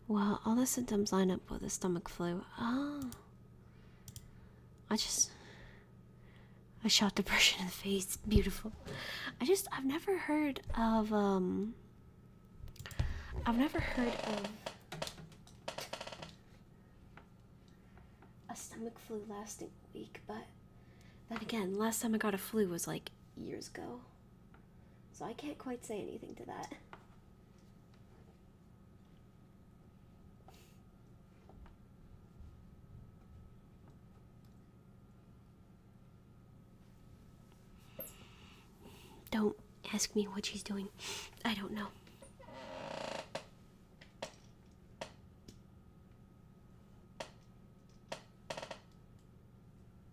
S1: Well, all the symptoms line up with the stomach flu. Oh. I just. I shot the person in the face. Beautiful. I just. I've never heard of, um. I've never heard of. A stomach flu lasting a week, but. Then again, last time I got a flu was like years ago. So I can't quite say anything to that. Don't ask me what she's doing. I don't know.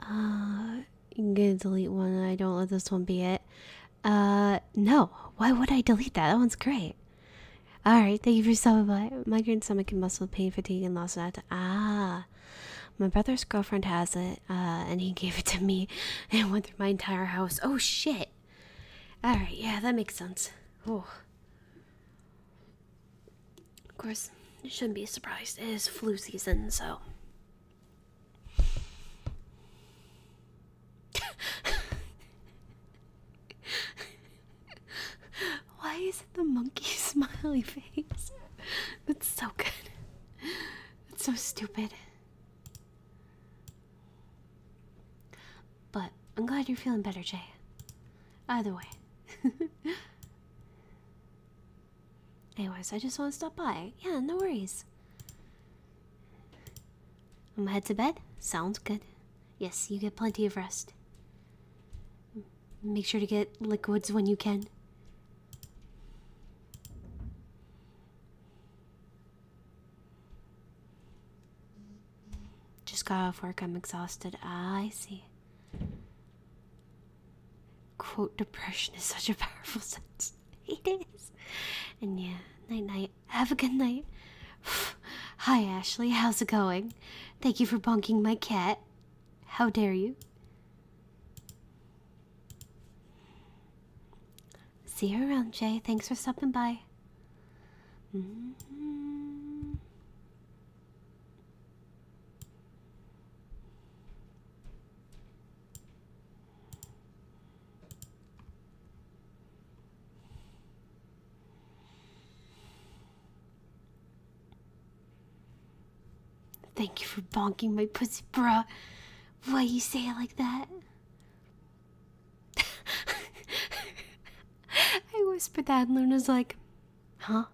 S1: Uh, I'm gonna delete one. I don't let this one be it. Uh, no. Why would I delete that? That one's great. Alright, thank you for stopping by. Migraine, stomach, and muscle pain, fatigue, and loss of appetite. Ah, my brother's girlfriend has it, uh, and he gave it to me and went through my entire house. Oh, shit. Alright, yeah, that makes sense. Oh. Of course, you shouldn't be surprised. It is flu season, so why is it the monkey smiley face? That's so good. That's so stupid. But I'm glad you're feeling better, Jay. Either way. Anyways, I just want to stop by. Yeah, no worries. I'm gonna head to bed. Sounds good. Yes, you get plenty of rest. Make sure to get liquids when you can. Just got off work. I'm exhausted. Ah, I see quote depression is such a powerful sense it is and yeah night night have a good night hi ashley how's it going thank you for bonking my cat how dare you see you around jay thanks for stopping by mm-hmm. Thank you for bonking my pussy, bruh. Why you say it like that? I whispered that, and Luna's like, huh?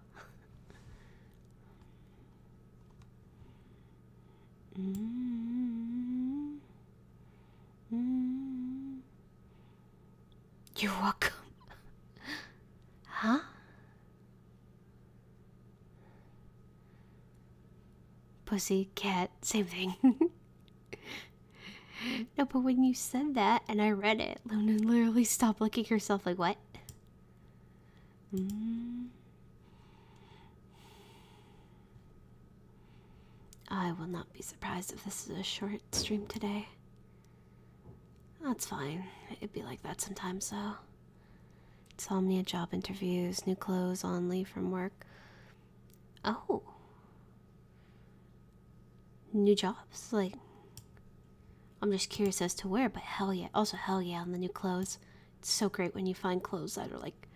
S2: Mm-hmm. You're welcome. huh?
S1: Pussy, cat, same thing. no, but when you said that and I read it, Luna literally stopped looking herself like, what? Mm. I will not be surprised if this is a short stream today. That's fine. It'd be like that sometimes, though. Insomnia, job interviews, new clothes on leave from work. Oh. New jobs? Like, I'm just curious as to where, but hell yeah. Also, hell yeah on the new clothes. It's so great when you find clothes that are like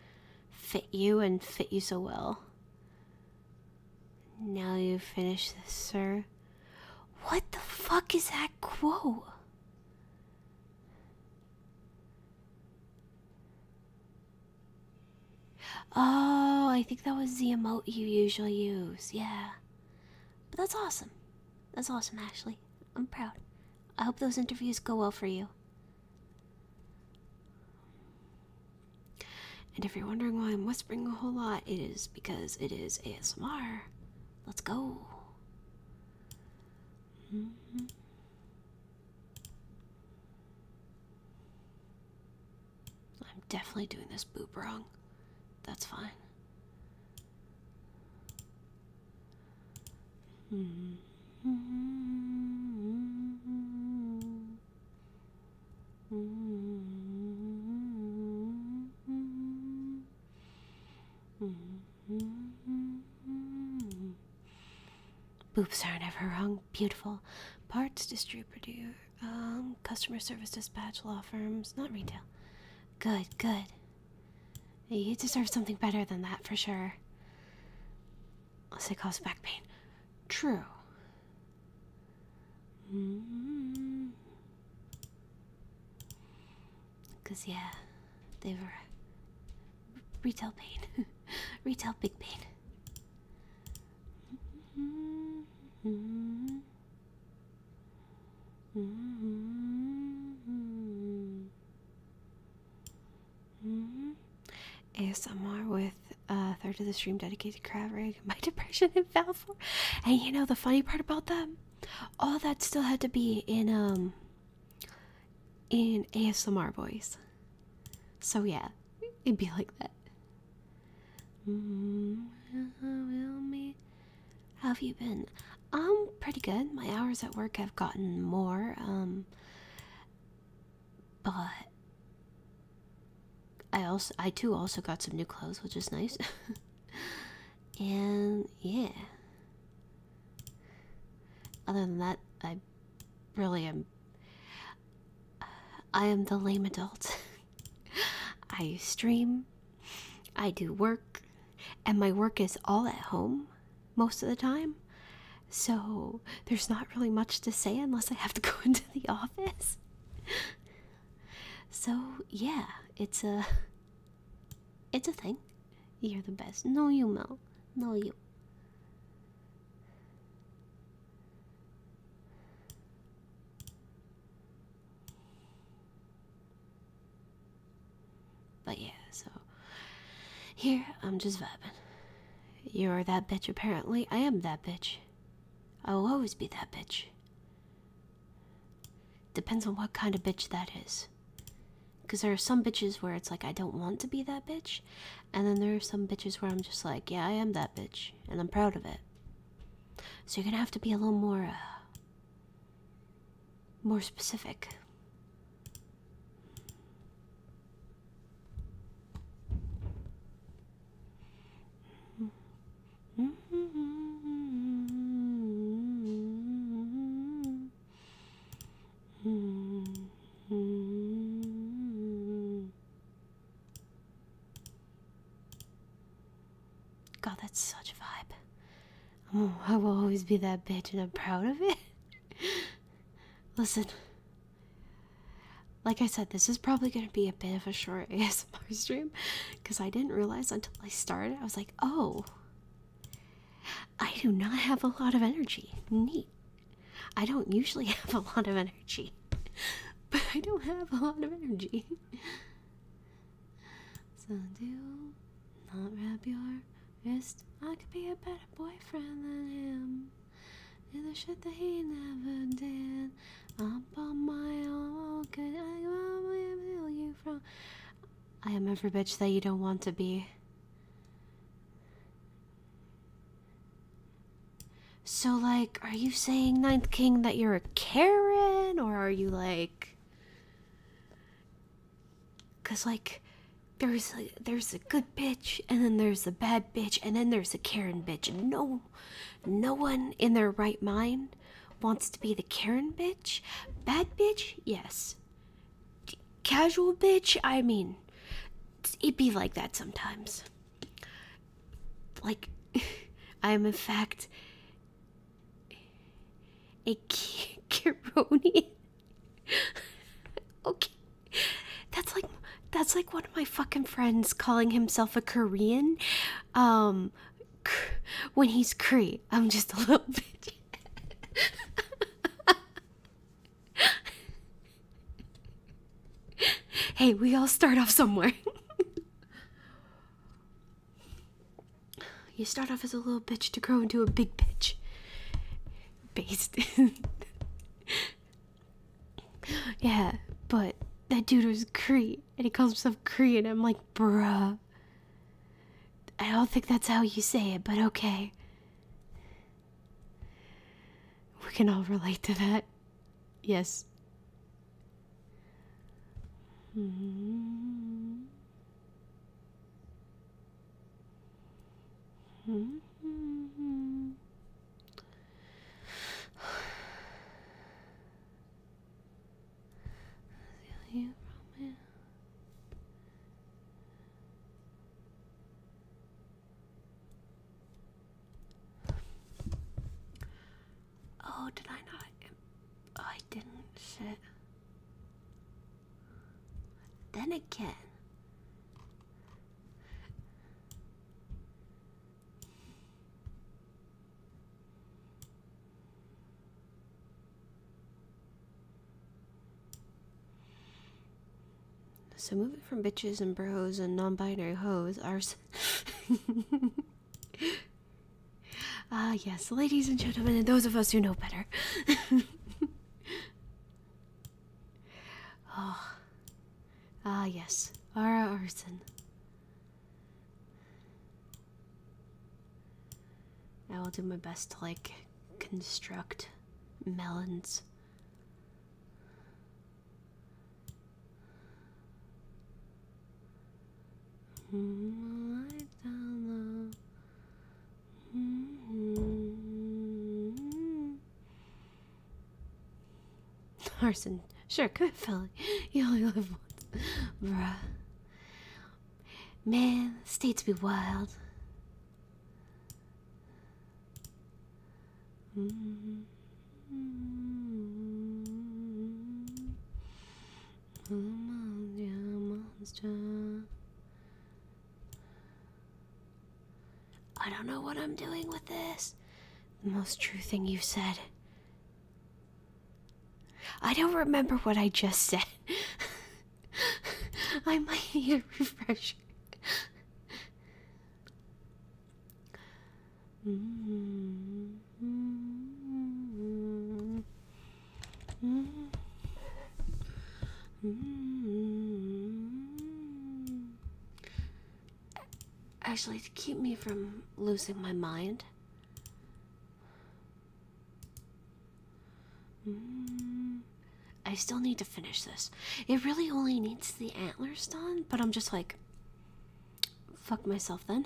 S1: fit you and fit you so well. Now you've finished this, sir. What the fuck is that quote? Oh, I think that was the emote you usually use. Yeah. But that's awesome. That's awesome, Ashley. I'm proud. I hope those interviews go well for you. And if you're wondering why I'm whispering a whole lot, it is because it is ASMR. Let's go. Mm-hmm. I'm definitely doing this boob wrong. That's fine. Boobs aren't ever wrong. Beautiful. Parts distributor, um, customer service dispatch, law firms, not retail. Good, good. You deserve something better than that for sure. Unless it causes back pain. True. Mm. Cause yeah, they were retail pain, retail big pain. Mm-hmm. Mm-hmm. Mm-hmm. -hmm. ASMR with a third of the stream dedicated to crab rig, my depression and Valfor. And you know the funny part about that? All that still had to be in um in ASMR voice. So yeah, it'd be like that. Mm have you been? I'm um, pretty good. My hours at work have gotten more, um, but I also, I too also got some new clothes, which is nice. and yeah. Other than that, I really am. I am the lame adult. I stream, I do work, and my work is all at home most of the time. So there's not really much to say unless I have to go into the office. So yeah, it's a it's a thing. You're the best. No you Mel. No you. But yeah, so here I'm just vibing. You're that bitch, apparently. I am that bitch. I will always be that bitch. Depends on what kind of bitch that is. Because there are some bitches where it's like, I don't want to be that bitch. And then there are some bitches where I'm just like, yeah, I am that bitch. And I'm proud of it. So you're gonna have to be a little more, uh, more specific. God, that's such a vibe. Oh, I will always be that bitch, and I'm proud of it. Listen. Like I said, this is probably going to be a bit of a short ASMR stream because I didn't realize until I started. I was like, oh, I do not have a lot of energy. Neat. I don't usually have a lot of energy, but I don't have a lot of energy. So, do. Not wrap your wrist. I could be a better boyfriend than him. Do the shit that he never did. I'm on my own, could I will you from? I am every bitch that you don't want to be. So, like, are you saying, Ninth King, that you're a Karen? Or are you like. Cause like there's a, there's a good bitch and then there's a bad bitch and then there's a Karen bitch and no no one in their right mind wants to be the Karen bitch. Bad bitch, yes. casual bitch, I mean it'd be like that sometimes. Like I am in fact a Kironian okay. That's like that's like one of my fucking friends calling himself a Korean. Um when he's Cree. I'm just a little bitch. Hey, we all start off somewhere. you start off as a little bitch to grow into a big bitch based yeah, but that dude was Cree, and he calls himself Cree, and I'm like, bruh. I don't think that's how you say it, but okay. We can all relate to that. Yes. Hmm
S2: you from it.
S1: Oh, did I not? I didn't. sit. Then again, so moving from bitches and bros and non-binary hoes are. Ah, yes, ladies and gentlemen, and those of us who know better. Oh. Ah, yes. Ara Arson. I will do my best to, like, construct melons. Hmm, Arson, sure, good fella. You only live once. Bruh. Man, states be wild. I don't know what I'm doing with this. The most true thing you've said. I don't remember what I just said. I might need a refresher.
S2: mm -hmm. Mm -hmm.
S1: Mm. Actually, to keep me from losing my mind. Mm. I still need to finish this. It really only needs the antlers done, but I'm just like, fuck myself then.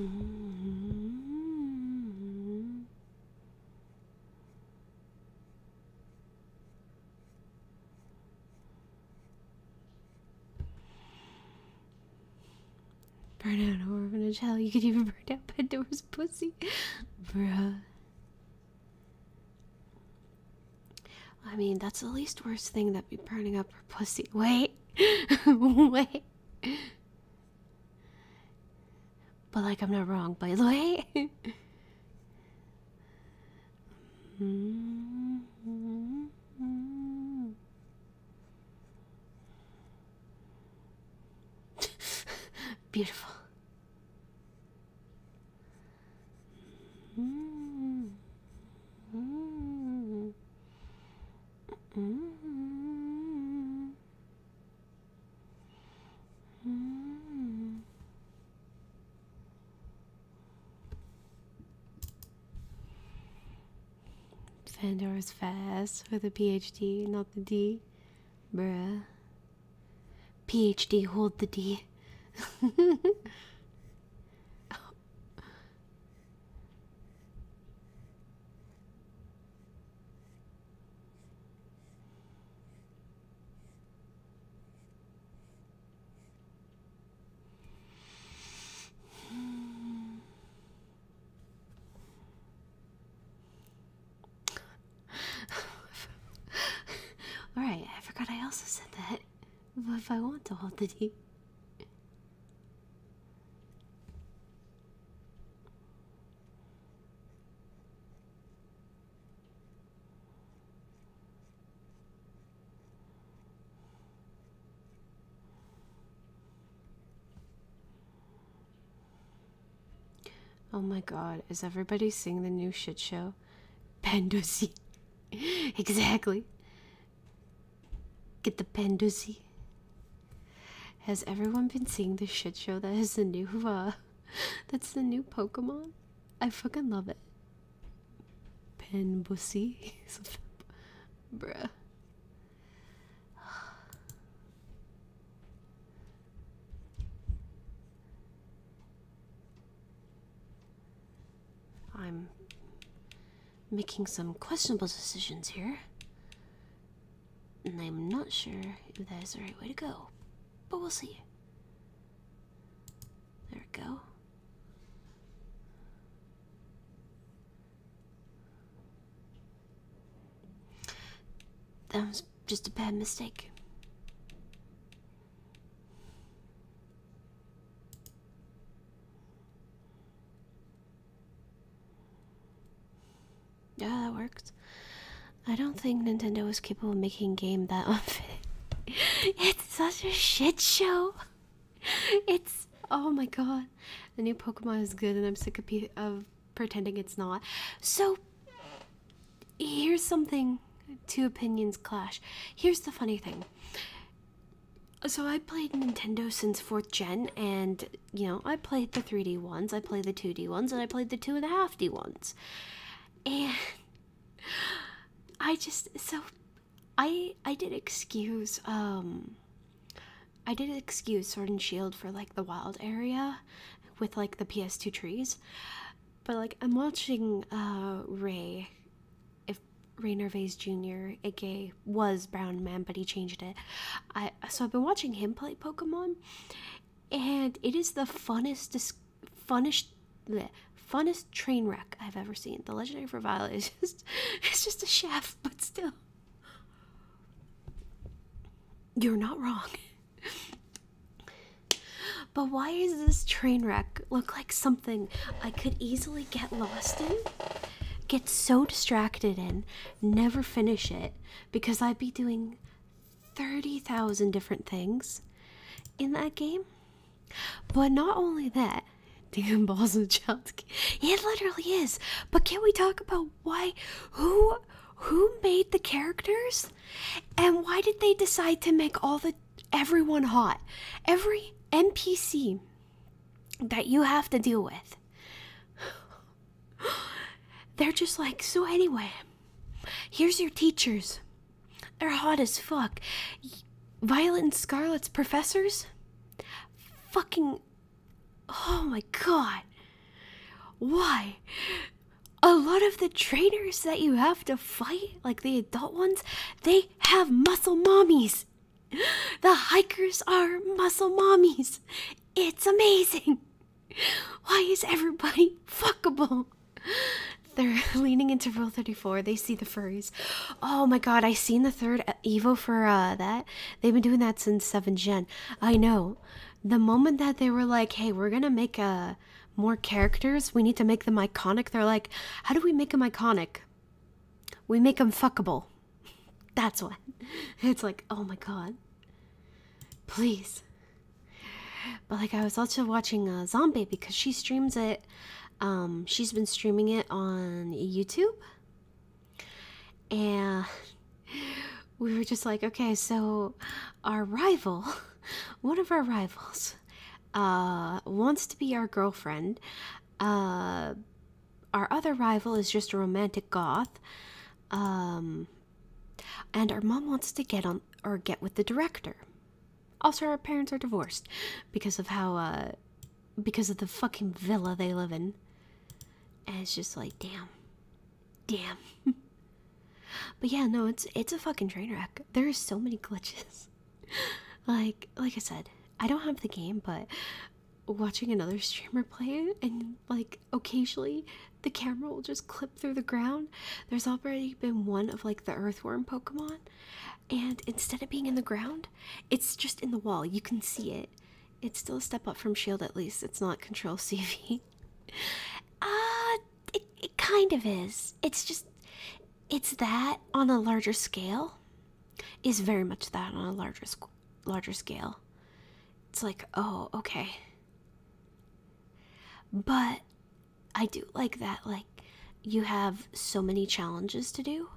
S1: Mm. Burn out a orphanage. Hell, you could even burn out Pandora's pussy. Bruh. I mean, that's the least worst thing that would be burning up her pussy. Wait. Wait. But, like, I'm not wrong, by the way. Beautiful. Mm. Fandor is fast with a PhD, not the D. Bruh. PhD, hold the D. Alright, I forgot I also said that. But if I want to hold the deep. Oh my god, is everybody seeing the new shit show? Pandusi. exactly. Get the Pandusi. Has everyone been seeing this shit show that is the new uh that's the new Pokemon? I fucking love it. Penbussy, Bruh. I'm making some questionable decisions here. And I'm not sure if that is the right way to go, but we'll see. There we go. That was just a bad mistake. Yeah, that works. I don't think Nintendo was capable of making a game that unfit. it's such a shit show. It's oh my god. The new Pokemon is good and I'm sick of pretending it's not. So here's something two opinions clash. Here's the funny thing. So I played Nintendo since 4th gen and you know, I played the 3D ones, I played the 2D ones, and I played the two and a half D ones. And I just so I I did excuse um I did excuse Sword and Shield for like the wild area with like the PS2 trees. But like I'm watching uh Ray if Ray Nervais Jr. aka was Brown Man but he changed it. I so I've been watching him play Pokemon and it is the funnest, funnest, bleh, funnest train wreck I've ever seen. The Legendary for Violet is just, it's just a chef, but still, you're not wrong. But why does this train wreck look like something I could easily get lost in? Get so distracted in, never finish it, because I'd be doing 30,000 different things in that game. But not only that, Damn Balls and Child's It literally is. But can not we talk about why who who made the characters? And why did they decide to make all the everyone hot? Every NPC that you have to deal with They're just like, so anyway, here's your teachers. They're hot as fuck. Violet and Scarlet's professors? Fucking. Oh my god. Why? A lot of the trainers that you have to fight, like the adult ones, they have muscle mommies. The hikers are muscle mommies. It's amazing. Why is everybody fuckable? They're leaning into Rule 34. They see the furries. Oh my god, I seen the third Evo for uh, that. They've been doing that since 7 Gen. I know. The moment that they were like, hey, we're gonna make uh, more characters, we need to make them iconic, they're like, how do we make them iconic? We make them fuckable. That's what. It's like, oh my god. Please. But like I was also watching a uh, Zombie because she streams it. Um, she's been streaming it on YouTube, and we were just like, okay, so our rival, one of our rivals, uh, wants to be our girlfriend. Uh, our other rival is just a romantic goth. Um, and our mom wants to get on or get with the director. Also, our parents are divorced because of how, uh, because of the fucking villa they live in. And it's just like, damn, damn. but yeah, no, it's it's a fucking train wreck. There are so many glitches. like, like I said, I don't have the game, but watching another streamer play and like occasionally the camera will just clip through the ground. There's already been one of like the earthworm Pokemon, and instead of being in the ground, it's just in the wall. You can see it. It's still a step up from Shield, at least. It's not Control CV. Ah, uh, it, it kind of is. It's just, it's that on a larger scale. Is very much that on a larger, larger scale. It's like, oh, okay. But I do like that, like, you have so many challenges to do.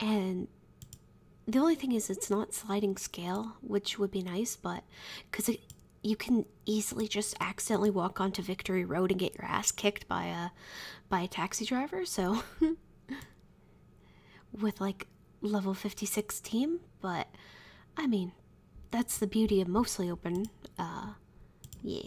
S1: And the only thing is, it's not sliding scale, which would be nice, but because you can easily just accidentally walk onto Victory Road and get your ass kicked by a by a taxi driver. So, with like level fifty six team, but I mean, that's the beauty of mostly open. Uh, yeah.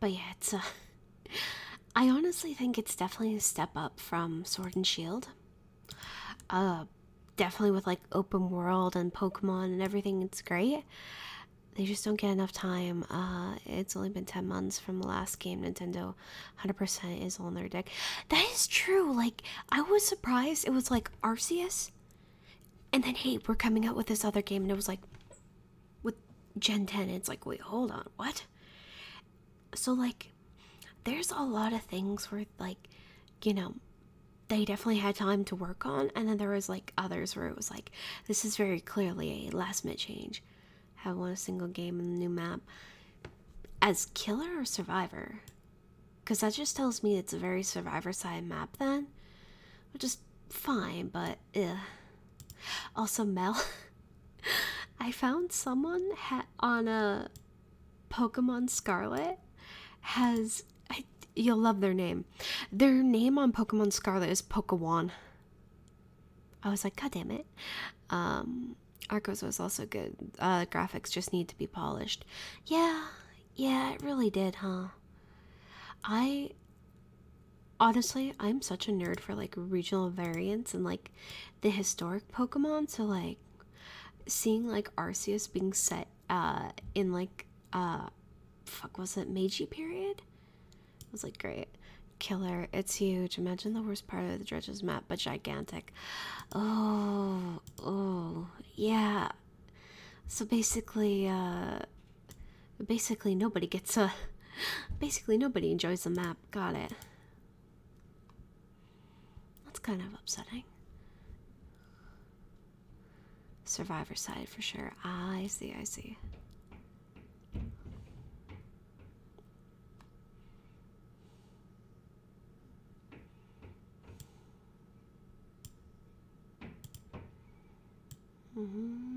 S1: But yeah, it's a. Uh, I honestly think it's definitely a step up from Sword and Shield. Uh, definitely with like open world and Pokemon and everything, it's great they just don't get enough time. Uh, it's only been 10 months from the last game. Nintendo 100% is on their deck. That is true. Like, I was surprised. It was like Arceus. And then, hey, we're coming out with this other game. And it was like, with Gen 10, it's like, wait, hold on. What? So, like, there's a lot of things where, like, you know, they definitely had time to work on. And then there was, like, others where it was like, this is very clearly a last minute change. Have won a single game in the new map as killer or survivor, because that just tells me it's a very survivor side map then, which is fine. But ugh. also Mel, I found someone on a Pokemon Scarlet has I, you'll love their name. Their name on Pokemon Scarlet is Pokawan. I was like, God damn it. Um, Arcos was also good. Uh, graphics just need to be polished. Yeah, yeah, it really did, huh? I honestly, I'm such a nerd for like regional variants and like the historic Pokemon. So, like, seeing like Arceus being set uh, in like uh, fuck was it Meiji period? It was like, great. Killer, it's huge. Imagine the worst part of the Dredge's map, but gigantic. Oh, oh, yeah. So basically, uh, basically nobody gets a, basically nobody enjoys the map. Got it. That's kind of upsetting. Survivor side for sure. I see, I see.
S2: Mm -hmm. -hmm.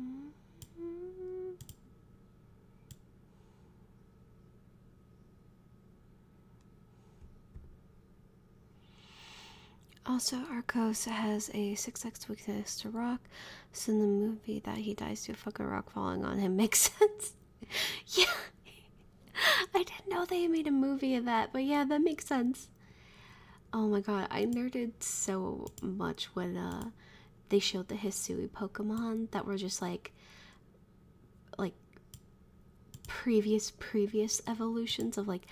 S2: Mm-hmm.
S1: Also, Arcos has a 6x weakness to rock, so in the movie that he dies to a fucking rock falling on him makes sense. yeah, I didn't know they made a movie of that, but yeah, that makes sense. Oh my god, I nerded so much when uh, they showed the Hisui Pokemon that were just like like previous previous evolutions of like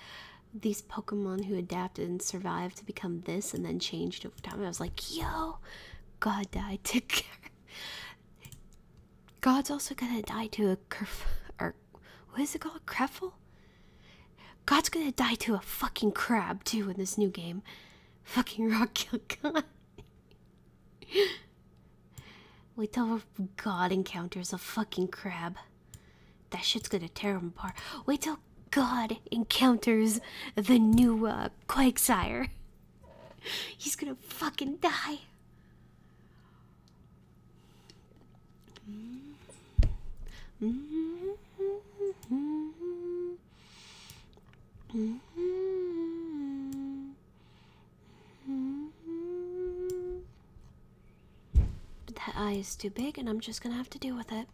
S1: these Pokemon who adapted and survived to become this and then changed over time. I was like, yo, God died to God's also gonna die to a curf or what is it called? Creffle? God's gonna die to a fucking crab too in this new game. Fucking rock kill God. Wait till God encounters a fucking crab. That shit's gonna tear him apart. Wait till God encounters the new uh, Quagsire. He's gonna fucking die. Mm-hmm. Mm-hmm. Mm-hmm. But mm-hmm. mm-hmm. that eye is too big, and I'm just gonna have to deal with it.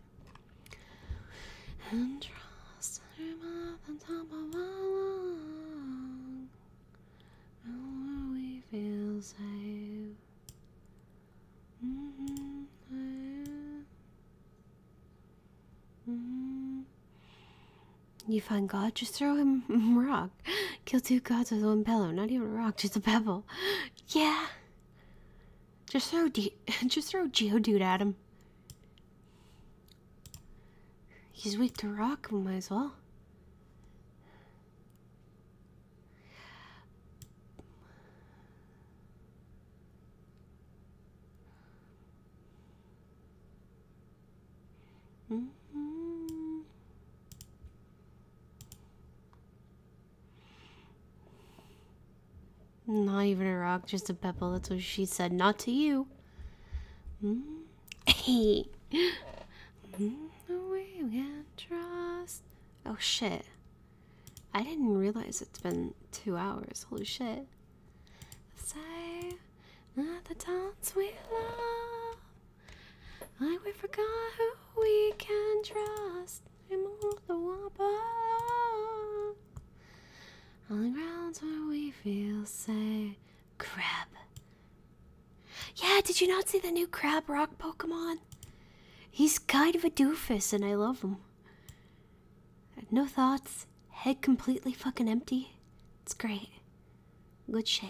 S1: Mm-hmm. You find God, just throw him rock. Kill two gods with one pillow. Not even rock, just a pebble. Yeah. Just throw De just throw Geodude at him. He's weak to rock, might as well. Mm-hmm. Not even a rock, just a pebble. That's what she said. Not to you. Hey. Mm-hmm. Mm-hmm. No way we can trust. Oh shit. I didn't realize it's been two hours. Holy shit. Say not the dance we love. Like we forgot who we can trust. I'm all the wobble. On the grounds where we feel safe. Crab. Yeah, did you not see the new crab rock Pokemon? He's kind of a doofus and I love him no thoughts, head completely fucking empty. It's great. Good shit.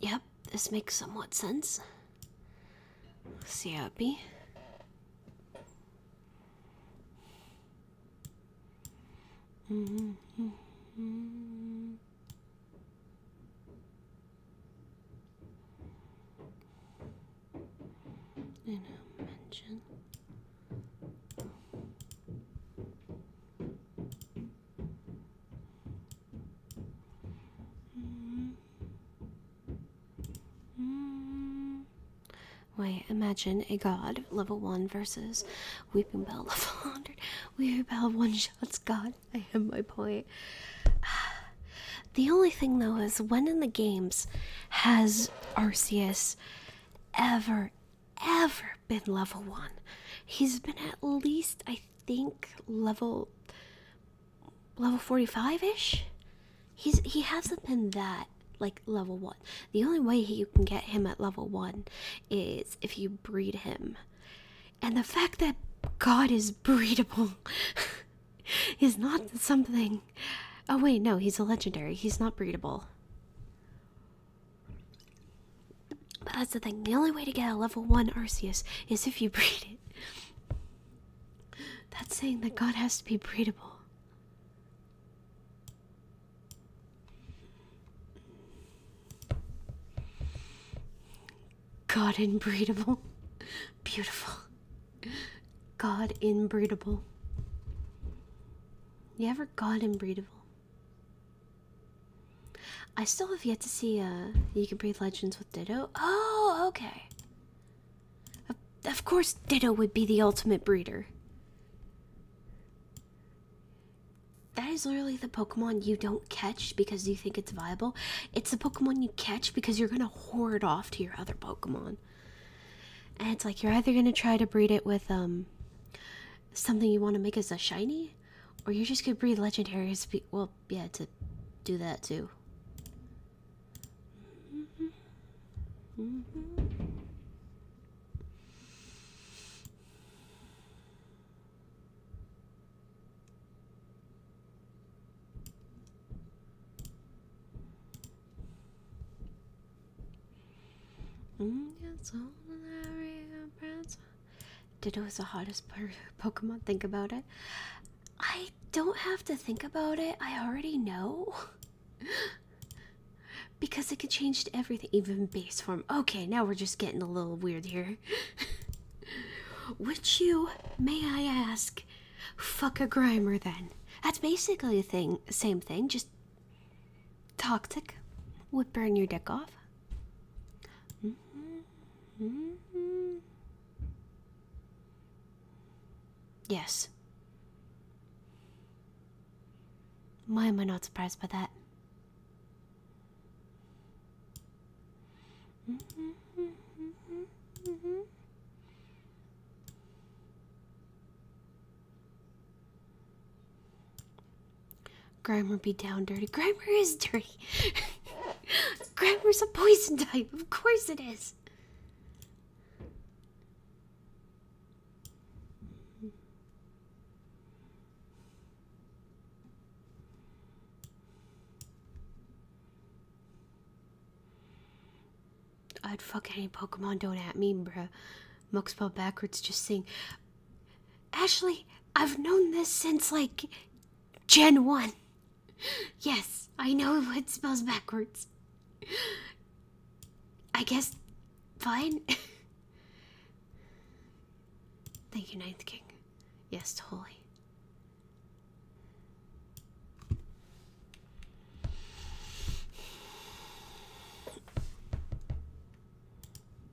S1: Yep, this makes somewhat sense. See how it be. -hmm.
S2: In a mansion.
S1: Wait, imagine a god level 1 versus Weeping Bell level 100. Weeping Bell one shots god. I have my point. The only thing though is when in the games has Arceus ever, ever been level one. He's been at least, I think, level level 45-ish. He's he hasn't been that like level one. The only way you can get him at level one is if you breed him. And the fact that God is breedable is not something. Oh, wait, no, he's a legendary. He's not breedable. But that's the thing. The only way to get a level one Arceus is if you breed it. That's saying that God has to be breedable. God inbreedable. Beautiful. God inbreedable. You ever God inbreedable? I still have yet to see uh you can breed legends with Ditto. Oh, okay. Of, of course Ditto would be the ultimate breeder. That is literally the Pokemon you don't catch because you think it's viable. It's the Pokemon you catch because you're gonna hoard off to your other Pokemon. And it's like you're either gonna try to breed it with um something you want to make as a shiny or you just could breathe legendary speed. Well, yeah, to do that too. Ditto is the hottest Pokemon. Think about it. I don't have to think about it. I already know. because it could change to everything, even base form. Okay, now we're just getting a little weird here. Which you, may I ask, fuck a grimer then? That's basically the thing, same thing, just toxic would burn your dick off. -hmm. Yes. Why am I not surprised by that? Grammar be down dirty. Grammar is dirty. Grammar's a poison type. Of course it is. I'd fuck any Pokemon don't at me, bruh. Muxpel backwards just saying Ashley, I've known this since like Gen 1. Yes, I know it spells backwards. I guess. Fine. Thank you, Ninth King. Yes, totally.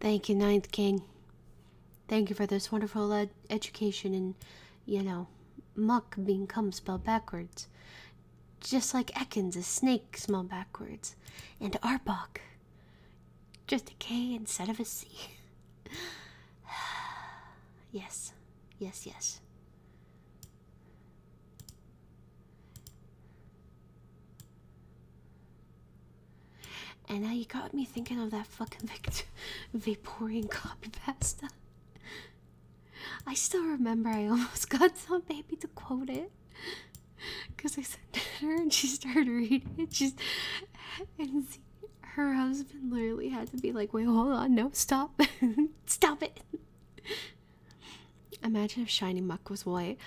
S1: Thank you, Ninth King. Thank you for this wonderful education in, you know, muck being cum spelled backwards. Just like Ekans a snake smelled backwards. And Arbok. Just a K instead of a C. yes, yes, yes. And now you got me thinking of that fucking Victor copy pasta. I still remember I almost got some baby to quote it. Because I sent it to her and she started reading it. and her husband literally had to be like, wait, hold on, no, stop. stop it. Imagine if Shiny Muck was white.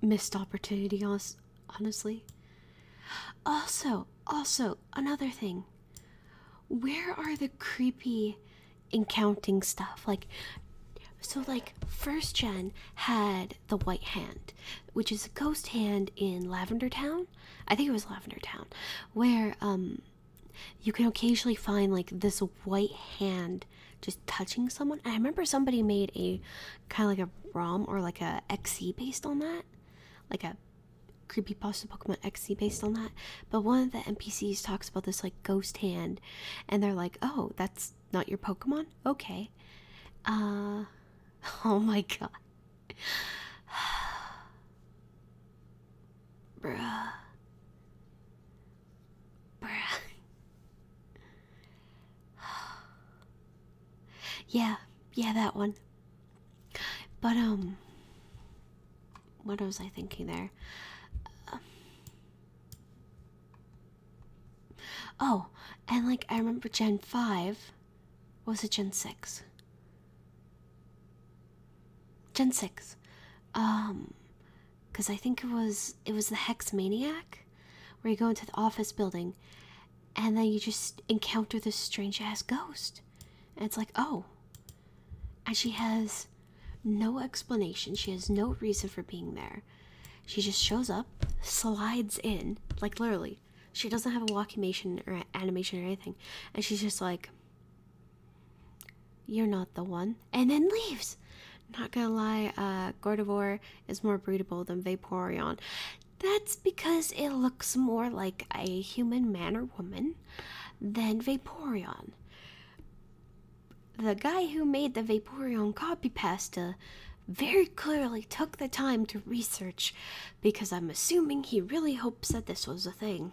S1: Missed opportunity, honestly. Also, also, another thing. Where are the creepy encountering stuff? Like so like first gen had the white hand, which is a ghost hand in Lavender Town. I think it was Lavender Town, where um you can occasionally find like this white hand just touching someone. I remember somebody made a kind of like a ROM or like a XE based on that, like a creepy creepypasta Pokemon XE based on that. But one of the NPCs talks about this like ghost hand, and they're like, "Oh, that's not your Pokemon? Okay." Uh, oh my god. Bruh. Bruh. yeah, yeah, that one. But, um, what was I thinking there? oh, and like I remember Gen 5. Was it Gen 6? Gen 6. Um, because I think it was it was the Hex Maniac, where you go into the office building, and then you just encounter this strange ass ghost. And it's like, oh. And she has no explanation. She has no reason for being there. She just shows up, slides in, like literally. She doesn't have a walkimation or animation or anything. And she's just like, you're not the one. And then leaves. Not gonna lie, uh, Gordivore is more breedable than Vaporeon. That's because it looks more like a human man or woman than Vaporeon. The guy who made the Vaporeon copy pasta very clearly took the time to research because I'm assuming he really hopes that this was a thing.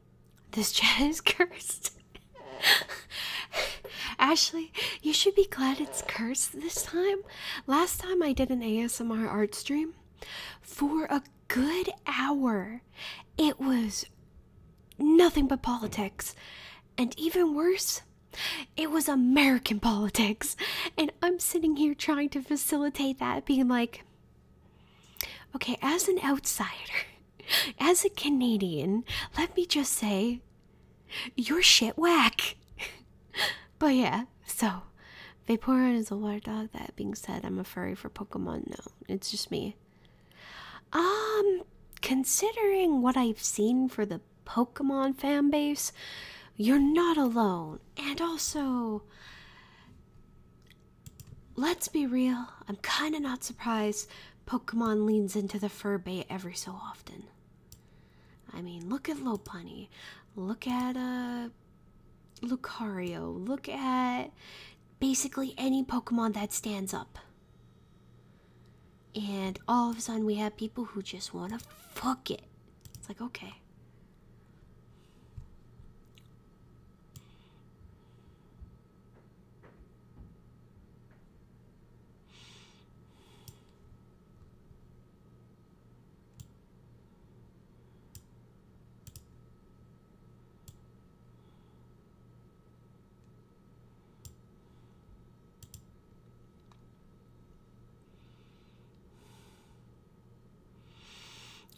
S1: This chat is cursed. Ashley, you should be glad it's cursed this time. Last time I did an ASMR art stream for a good hour. It was nothing but politics. And even worse, it was American politics. And I'm sitting here trying to facilitate that, being like, okay, as an outsider, as a Canadian, let me just say, you're shit whack. but yeah, so Vaporeon is a water dog. That being said, I'm a furry for Pokemon. No, it's just me. Um, considering what I've seen for the Pokemon fan base, you're not alone. And also, let's be real, I'm kind of not surprised Pokemon leans into the fur bait every so often. I mean, look at Lopunny, look at uh, Lucario, look at basically any Pokemon that stands up. And all of a sudden, we have people who just want to fuck it. It's like, okay.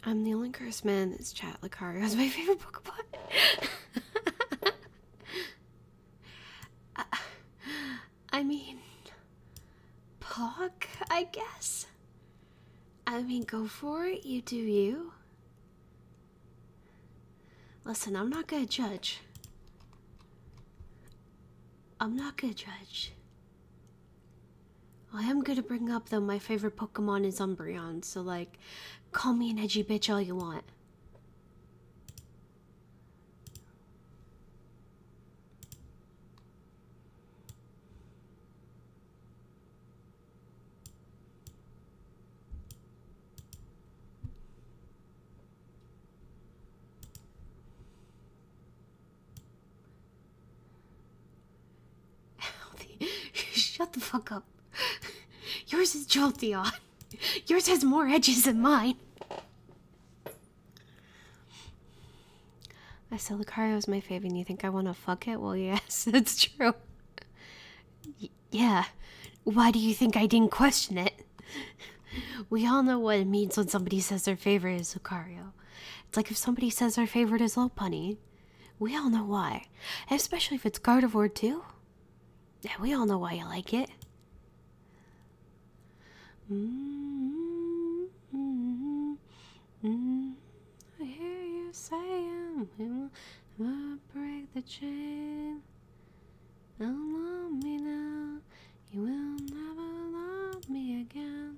S1: I'm the only cursed man that's chat Lucario is my favorite book about. I mean, Pog, I guess. I mean, go for it, you do you. Listen, I'm not gonna judge. I'm not gonna judge. I am gonna bring up though my favorite Pokemon is Umbreon, so like, call me an edgy bitch all you want. Shut the fuck up. Yours is Jolteon. Yours has more edges than mine. I said Lucario is my favorite, and you think I want to fuck it? Well, yes, that's true. yeah. Why do you think I didn't question it? We all know what it means when somebody says their favorite is Lucario. It's like if somebody says their favorite is Lopunny. We all know why, especially if it's Gardevoir too. Yeah, we all know why you like it. I hear you saying we will break the chain. Don't love me now, you will never love me again.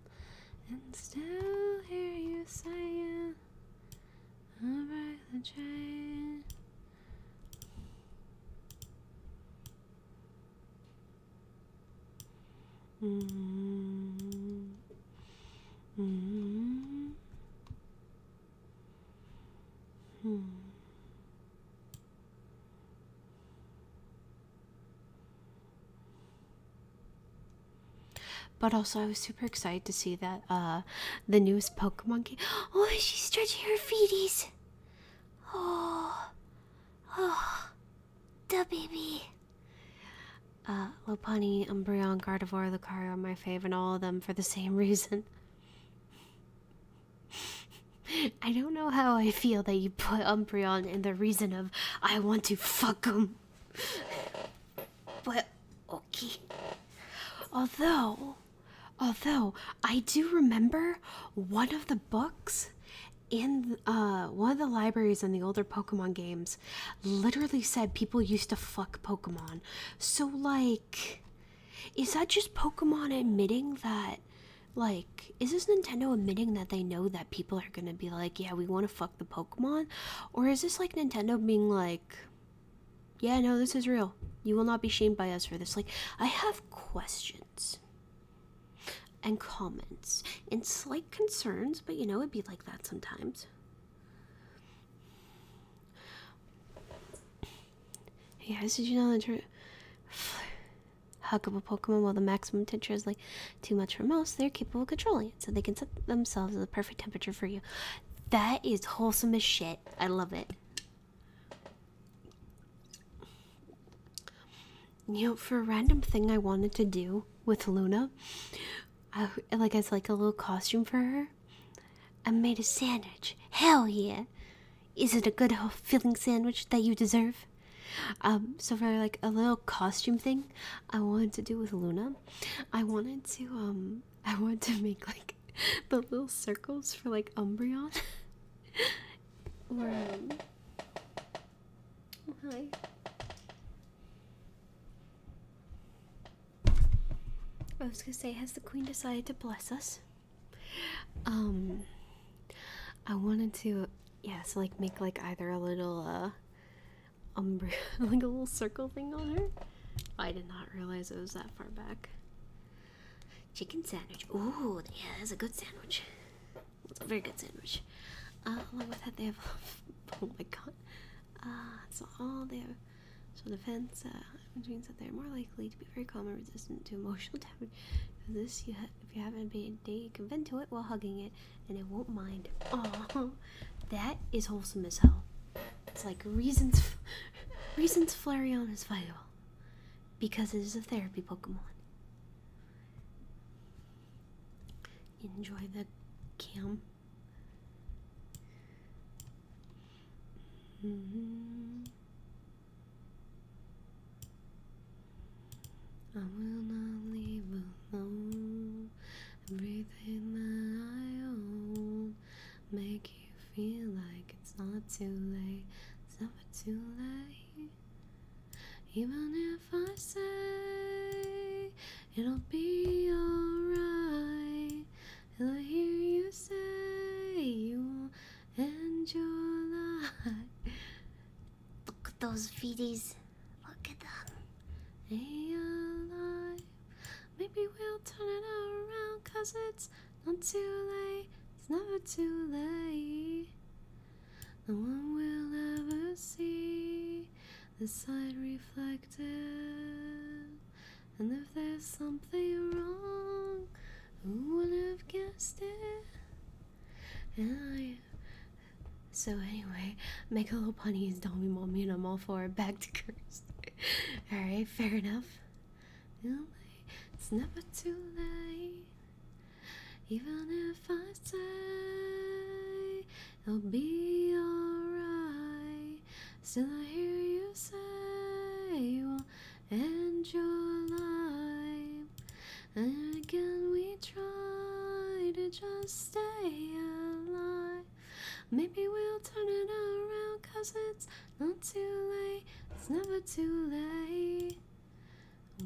S2: And still hear you saying, I'll break the chain. Mm -hmm. hmm.
S1: But also, I was super excited to see that uh, the newest Pokemon Oh, she's stretching her feeties. Oh, oh, the baby. Uh, Lopani, Umbreon, Gardevoir, Lucario are my favorite, all of them for the same reason. I don't know how I feel that you put Umbreon in the reason of I want to fuck him. But okay. Although Although I do remember one of the books in uh, one of the libraries in the older Pokemon games literally said people used to fuck Pokemon. So, like, is that just Pokemon admitting that? Like, is this Nintendo admitting that they know that people are gonna be like, yeah, we wanna fuck the Pokemon? Or is this like Nintendo being like, yeah, no, this is real. You will not be shamed by us for this. Like, I have questions and comments and slight concerns, but you know, it'd be like that sometimes. Hey guys, did you know that hug up a Pokemon while the maximum temperature is like too much for most? They're capable of controlling it, so they can set themselves to the perfect temperature for you. That is wholesome as shit. I love it. You know, for a random thing I wanted to do with Luna, like as like a little costume for her, I made a sandwich. Hell yeah! Is it a good, filling sandwich that you deserve? Um, so for like a little costume thing I wanted to do with Luna, I wanted to um I want to make like the little circles for like Umbreon. um oh, hi. I was gonna say, has the queen decided to bless us? Um, I wanted to, yeah, so like make like either a little uh, umbre, like a little circle thing on her. I did not realize it was that far back. Chicken sandwich. Ooh, yeah, that's a good sandwich. It's a very good sandwich. along uh, with that, they have. oh my god. Uh, so all they have. So defense, uh, means that they're more likely to be very calm and resistant to emotional damage. this, if you haven't been a day, can vent to it while hugging it, and it won't mind. Oh, that is wholesome as hell. It's like reasons, reasons Flareon is vital. Because it is a therapy Pokemon. Enjoy the cam.
S2: Mm-hmm.
S1: I will not leave alone everything that I own. Make you feel like it's not too late, it's never too late. Even if I
S2: say it'll be alright, it'll
S1: hear you say you will end your life. Look at those feeties. Look at them. They alive. Maybe we'll turn it around, cause it's not too late, it's never too late. No one will ever see the side reflected. And if there's something wrong, who would have guessed it? And So, anyway, make a little bunny is Dummy Mommy, and I'm all for it. Back to curse. Alright, fair enough. It's never too late, even if I say it'll be alright.
S2: Still, I hear you say you will end
S1: your life, and again we try to just stay alive. Maybe we'll turn it around, cause it's not too late, it's never too late.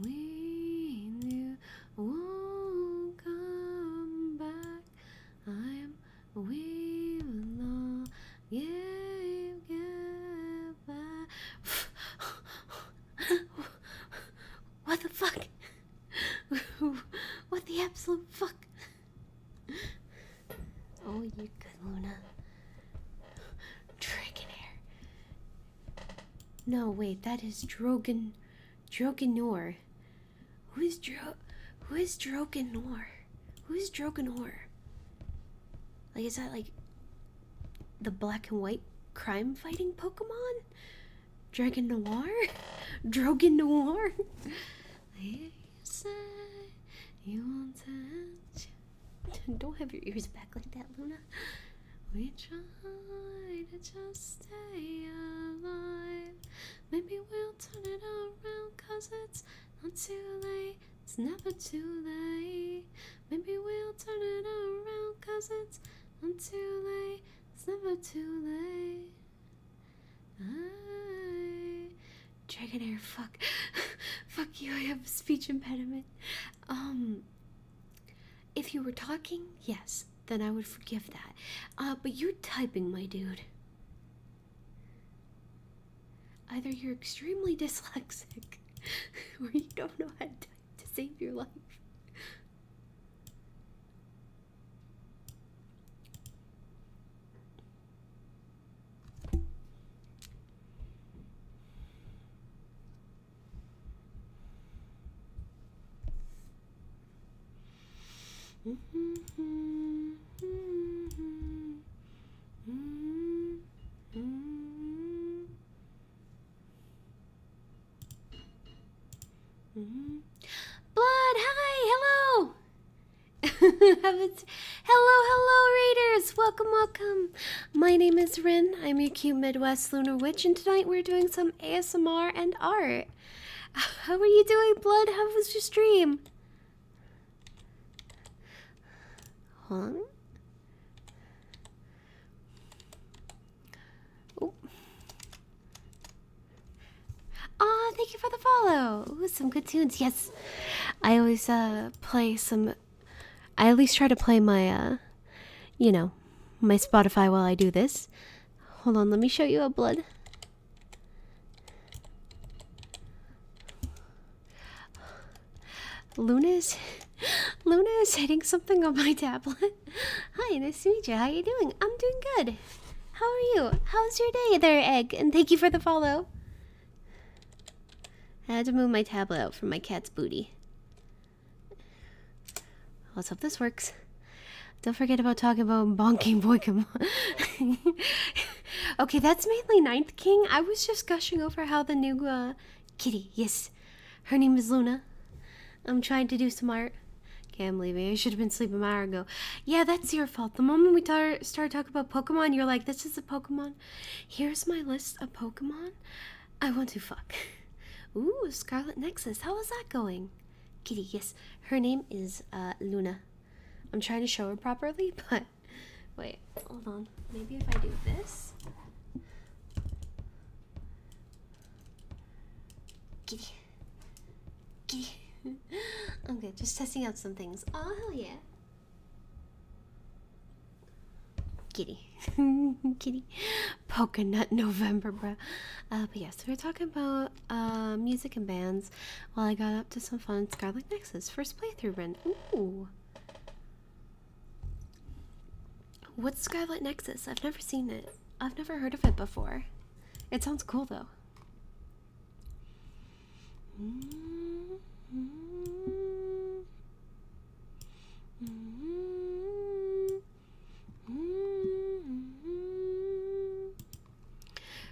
S2: We knew won't come back. I'm we will not give,
S1: give back. what the fuck? what the absolute fuck? Oh, you good, Luna. Dragonair. No, wait, that is Drogan. Droganor. Who is Dro. Who is Droganor? Who is Droganor? Like, is that like. The black and white crime fighting Pokemon? Dragon Noir? Drogan Noir? You will Don't have your ears back like that, Luna. We try to just stay alive. Maybe we'll turn it around, cause it's not too late. It's never too late. Maybe we'll turn it around, cause it's not too late. It's never too late. I Dragonair, fuck. fuck you, I have a speech impediment. Um. If you were talking, yes, then I would forgive that. Uh, but you're typing, my dude. Either you're extremely dyslexic, or you don't know how to type to save your life.
S2: Blood,
S1: hi, hello. hello, hello, readers. Welcome, welcome. My name is Rin. I'm your cute Midwest Lunar Witch, and tonight we're doing some ASMR and art. How are you doing, Blood? How was your stream? Huh? Oh. Aw, thank you for the follow. some good tunes. Yes, I always uh, play some I at least try to play my, uh, you know, my Spotify while I do this. Hold on, let me show you a blood. Luna's, Luna is hitting something on my tablet. Hi, nice to meet you. How you doing? I'm doing good. How are you? How's your day there, Egg? And thank you for the follow. I had to move my tablet out from my cat's booty. Let's hope this works. Don't forget about talking about bonking on. okay, that's mainly Ninth King. I was just gushing over how the new uh, kitty, yes, her name is Luna. I'm trying to do some art. Can't believe it. I should have been sleeping an hour ago. Yeah, that's your fault. The moment we tar start talking about Pokemon, you're like, this is a Pokemon. Here's my list of Pokemon I want to fuck. Ooh, Scarlet Nexus. How is that going? Kitty, yes. Her name is uh, Luna. I'm trying to show her properly, but wait, hold on. Maybe if I do this. Kitty. Kitty. okay, just testing out some things. Oh, hell yeah. Kitty. Kitty. Polka nut November, bro. Uh, but yes, yeah, so we we're talking about uh, music and bands while I got up to some fun Scarlet Nexus. First playthrough, Ren. Ooh. What's Scarlet Nexus? I've never seen it. I've never heard of it before. It sounds cool, though. Mm-hmm. Mm-hmm.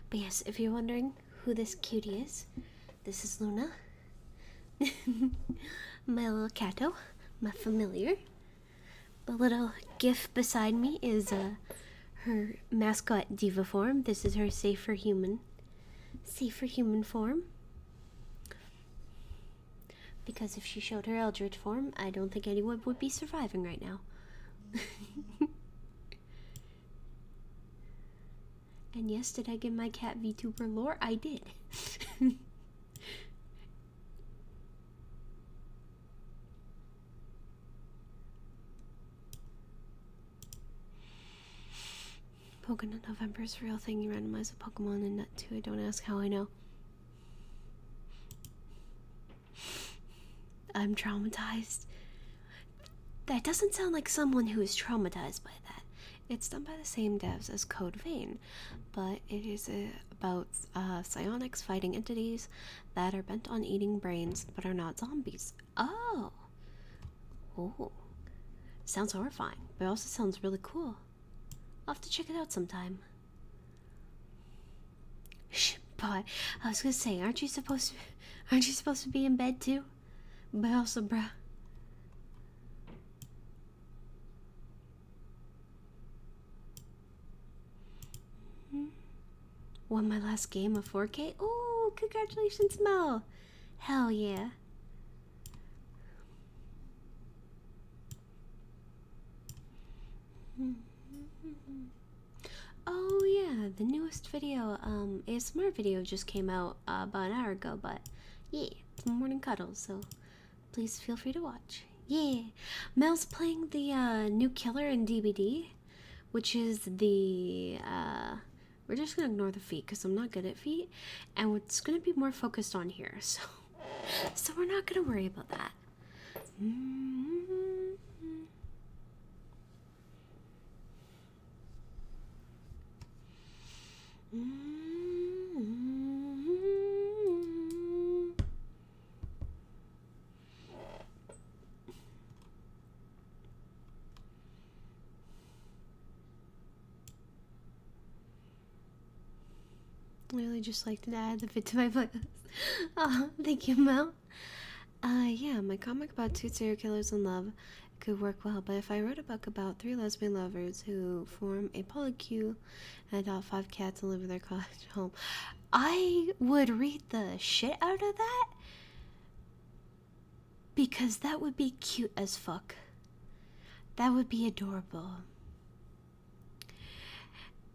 S1: But yes, if you're wondering who this cutie is, this is Luna. my little cato, my familiar. The little gif beside me is uh, her mascot diva form. This is her safe for human, safe for human form. Because if she showed her Eldritch form, I don't think anyone would be surviving right now. and yes, did I give my cat VTuber lore? I did. Pokemon November is a real thing. You randomize a Pokemon and that too. I don't ask how I know. I'm traumatized. That doesn't sound like someone who is traumatized by that. It's done by the same devs as Code Vein, but it is about uh, psionics fighting entities that are bent on eating brains but are not zombies. Oh, Oh, sounds horrifying, but also sounds really cool. I'll have to check it out sometime. But I was gonna say, aren't you supposed to, aren't you supposed to be in bed too? But also, bruh. Hmm. Won my last game of 4K. Oh, congratulations, Mel! Hell yeah! Oh yeah, the newest video, um, ASMR video just came out uh, about an hour ago, but yeah, morning cuddles, so please feel free to watch. Yeah, Mel's playing the uh, new killer in DVD, which is the, uh, we're just gonna ignore the feet because I'm not good at feet. And what's going to be more focused on here. So, so we're not going to worry about that. I really just like to add the fit to my playlist. oh, thank you, Mel. Uh, yeah, my comic about two serial killers in love could work well, but if I wrote a book about three lesbian lovers who form a polycule and adopt five cats and live in their cottage home, I would read the shit out of that because that would be cute as fuck. That would be adorable.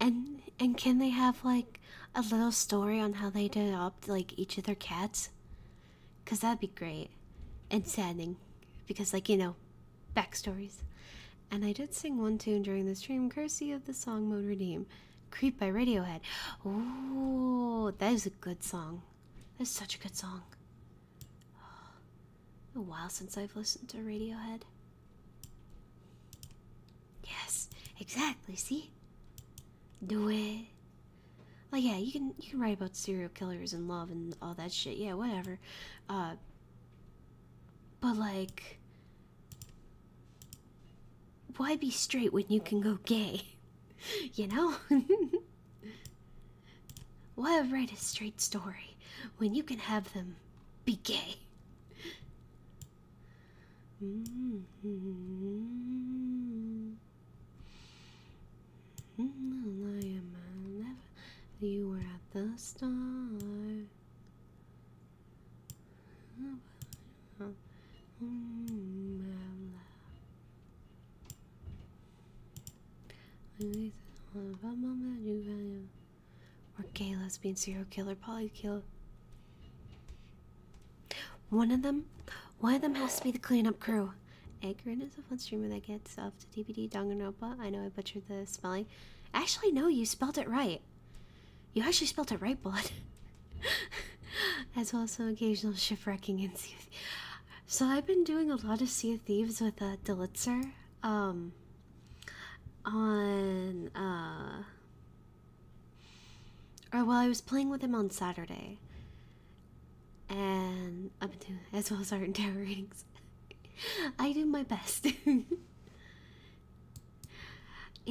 S1: And and can they have like a little story on how they adopt like each of their cats? Cause that'd be great and saddening, because like you know, backstories. And I did sing one tune during the stream, courtesy of the song Mode Redeem, "Creep" by Radiohead. Oh, that is a good song. That's such a good song. A while since I've listened to Radiohead. Yes, exactly, see? Do it. Oh yeah, you can you can write about serial killers and love and all that shit. Yeah, whatever. Uh but like why be straight when you can go gay? You know? Why write a straight story when you can have them be gay? Mm -hmm. I am a you were at the star. Or gay lesbian serial killer kill. One of them, one of them has to be the cleanup crew. Edgarin is a fun streamer that gets off to DVD Danganronpa. I know I butchered the spelling. Actually, no, you spelled it right. You actually spelled it right, blood. as well as some occasional shipwrecking and so I've been doing a lot of Sea of Thieves with a uh, Delitzer, um, on, uh, or well, I was playing with him on Saturday, and up have as well as our and tarot readings. I do my best. it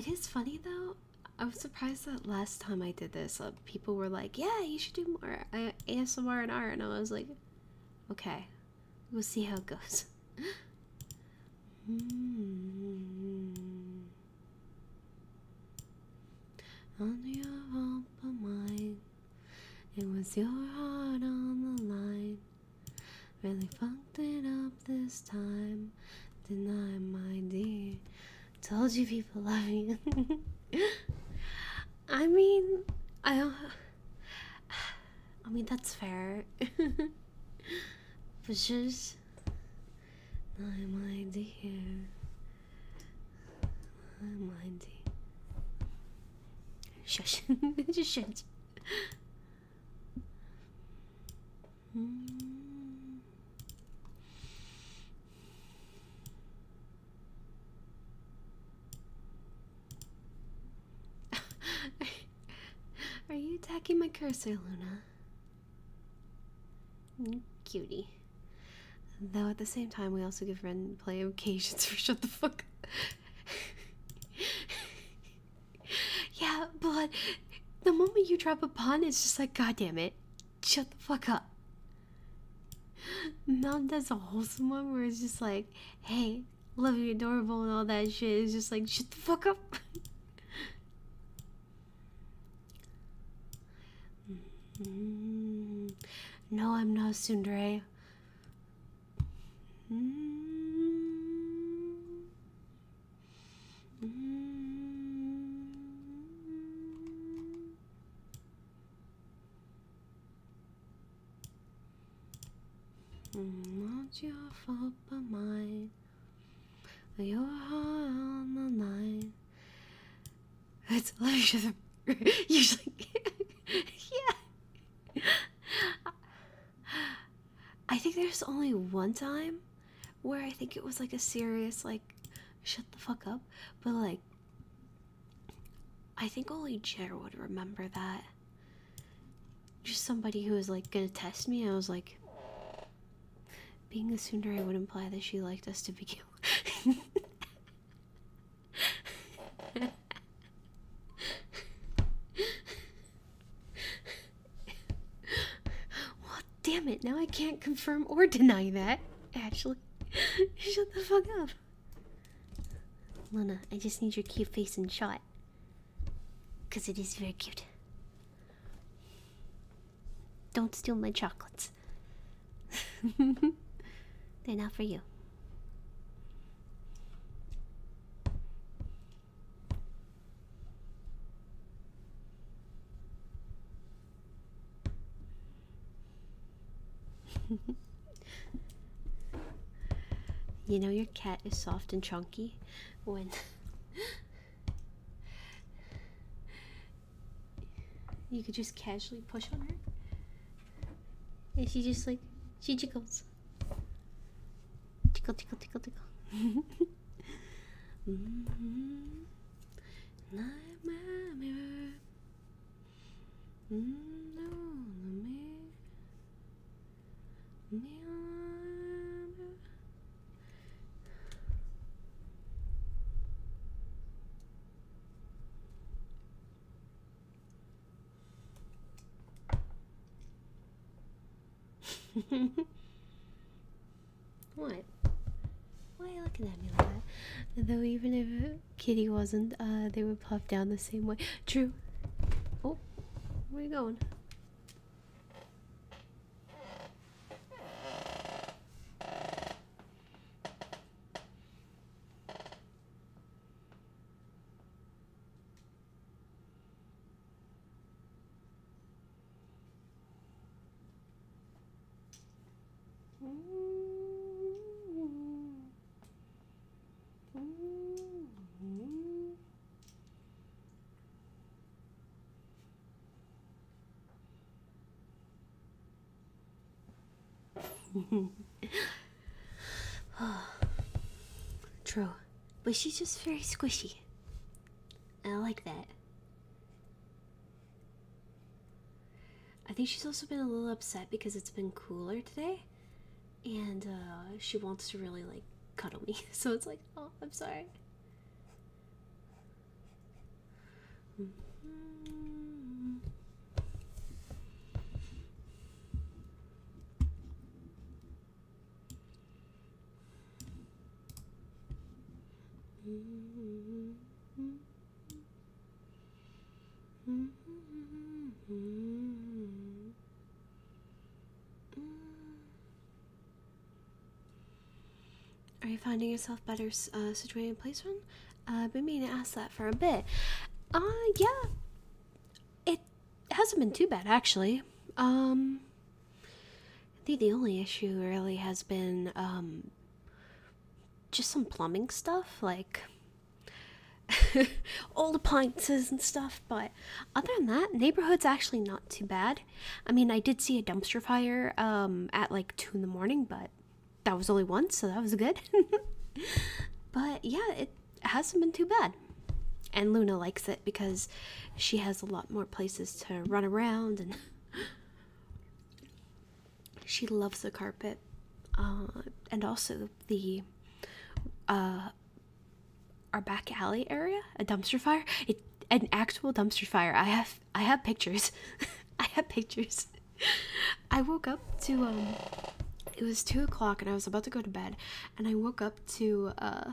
S1: is funny though. I was surprised that last time I did this, uh, people were like, "Yeah, you should do more ASMR and art," and I was like, "Okay, We'll see how it goes. Hmm. On your arm mine, it was your heart on the line. Really fucked it up this time. Deny my dear. Told you people love you. I mean, I don't. I mean, that's fair. but just my mind here, my mind. Shush! just shush. Hmm. Are you attacking my cursor, Luna? Cutie. Though at the same time, we also give Ren play occasions for shut the fuck up. yeah, but the moment you drop a pun, it's just like, god damn it, shut the fuck up. Now that's a wholesome one where it's just like, hey, love you, adorable, and all that shit. It's just like, shut the fuck up. Mm-hmm. no, I'm not Sundre. Mm-hmm. Mm-hmm.
S2: Mm, not
S1: your fault but mine. Your heart on the line. It's usually yeah. I think there's only one time where I think it was like a serious like shut the fuck up, but like I think only Jer would remember that. Just somebody who was like gonna test me. I was like, being a I would imply that she liked us to begin. well, damn it! Now I can't confirm or deny that. Actually, shut the fuck up. Luna, I just need your cute face in shot. Because it is very cute. Don't steal my chocolates. They're not for you. You know your cat is soft and chunky when you could just casually push on her and she just like she jiggles tickle tickle tickle tickle mm
S2: Mm -hmm. what?
S1: Why are you looking at me like that? Though even if Kitty wasn't, uh, they Puff down the same way. True. Oh, where are you going? true. But she's just very squishy. I like that. I think she's also been a little upset because it's been cooler today and uh, she wants to really like cuddle me. So it's like, oh, I'm sorry. Mm-hmm.
S2: Mm-hmm. Mm-hmm.
S1: Mm. Are you finding yourself better uh, situated in placement? Uh, I've been meaning to ask that for a bit. Uh, yeah. It hasn't been too bad, actually. Um, I think the only issue really has been um, just some plumbing stuff. Like, all the appliances and stuff, but other than that, neighborhood's actually not too bad. I mean, I did see a dumpster fire um, at like 2 in the morning, but that was only once, so that was good. but yeah, it hasn't been too bad. And Luna likes it because she has a lot more places to run around and she loves the carpet uh, and also the uh, our back alley area, a dumpster fire, an actual dumpster fire. I have I have pictures. I have pictures. I woke up to um, it was two o'clock and I was about to go to bed, and I woke up to uh,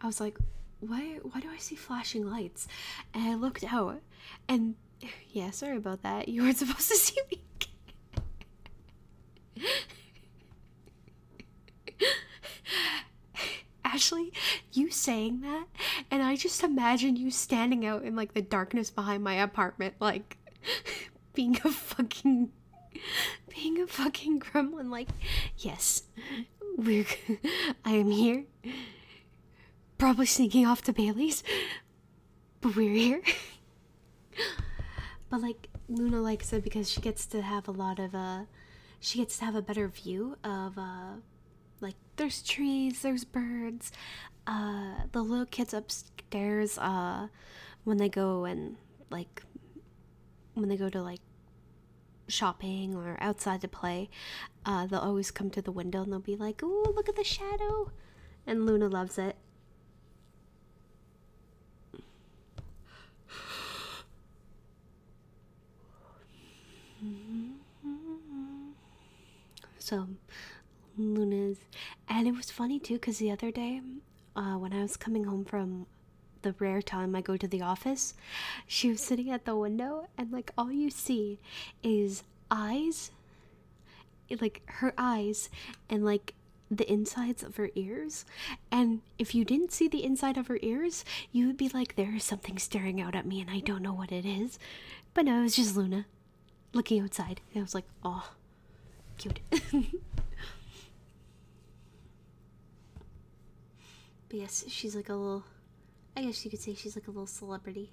S1: I was like, why why do I see flashing lights? And I looked out, and yeah, sorry about that. You weren't supposed to see me. Ashley, you saying that, and I just imagine you standing out in like the darkness behind my apartment, like being a fucking being a fucking gremlin like yes we're i am here probably sneaking off to bailey's but we're here but like Luna likes it because she gets to have a lot of uh she gets to have a better view of uh like there's trees, there's birds. Uh the little kids upstairs uh when they go and like when they go to like shopping or outside to play, uh they'll always come to the window and they'll be like, oh look at the shadow." And Luna loves it. So, Luna's. And it was funny too, because the other day, uh, when I was coming home from the rare time I go to the office, she was sitting at the window, and like all you see is eyes, like her eyes, and like the insides of her ears. And if you didn't see the inside of her ears, you would be like, there is something staring out at me and I don't know what it is. But no, it was just Luna looking outside. I was like, oh, cute. But yes, she's like a little. I guess you could say she's like a little celebrity.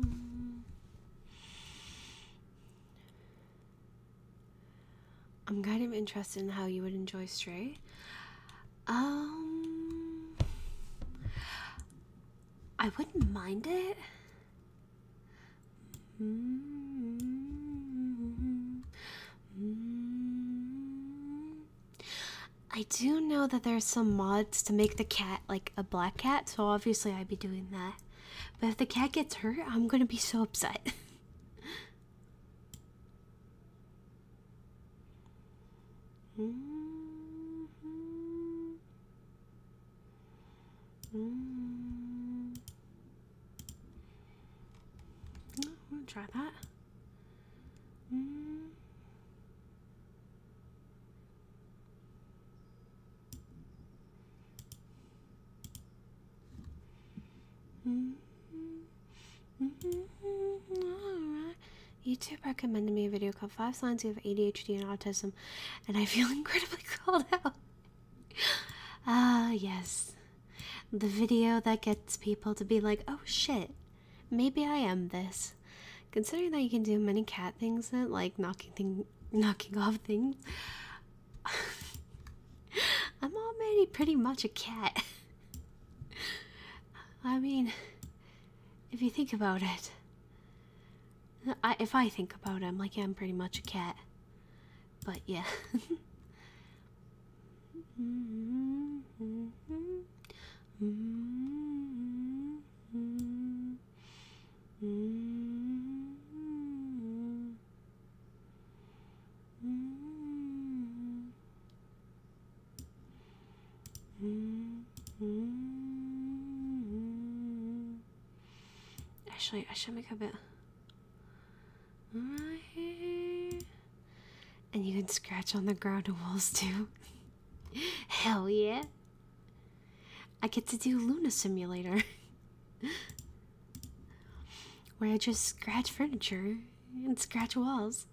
S1: Mm. I'm kind of interested in how you would enjoy Stray. Um, I wouldn't mind it. Mm. I do know that there's some mods to make the cat like a black cat, so obviously I'd be doing that. But if the cat gets hurt, I'm gonna be so upset. mm -hmm.
S2: Mm. try that. Mm-hmm.
S1: -hmm. Alright. YouTube recommended me a video called Five Signs You Have ADHD and Autism, and I feel incredibly called out. Ah, uh, yes. The video that gets people to be like, oh shit, maybe I am this. Considering that you can do many cat things, that, like knocking things knocking off things. I'm already pretty much a cat. I mean, if you think about it, if I think about it, I'm like, I'm pretty much a cat. But yeah. Mm-hmm. Mm-hmm. Mm-hmm.
S2: Mm-hmm. Mm-hmm.
S1: Mm-hmm. Actually, I should make a bit right And you can scratch on the ground and walls too. Hell yeah. I get to do Luna Simulator, where I just scratch furniture and scratch walls.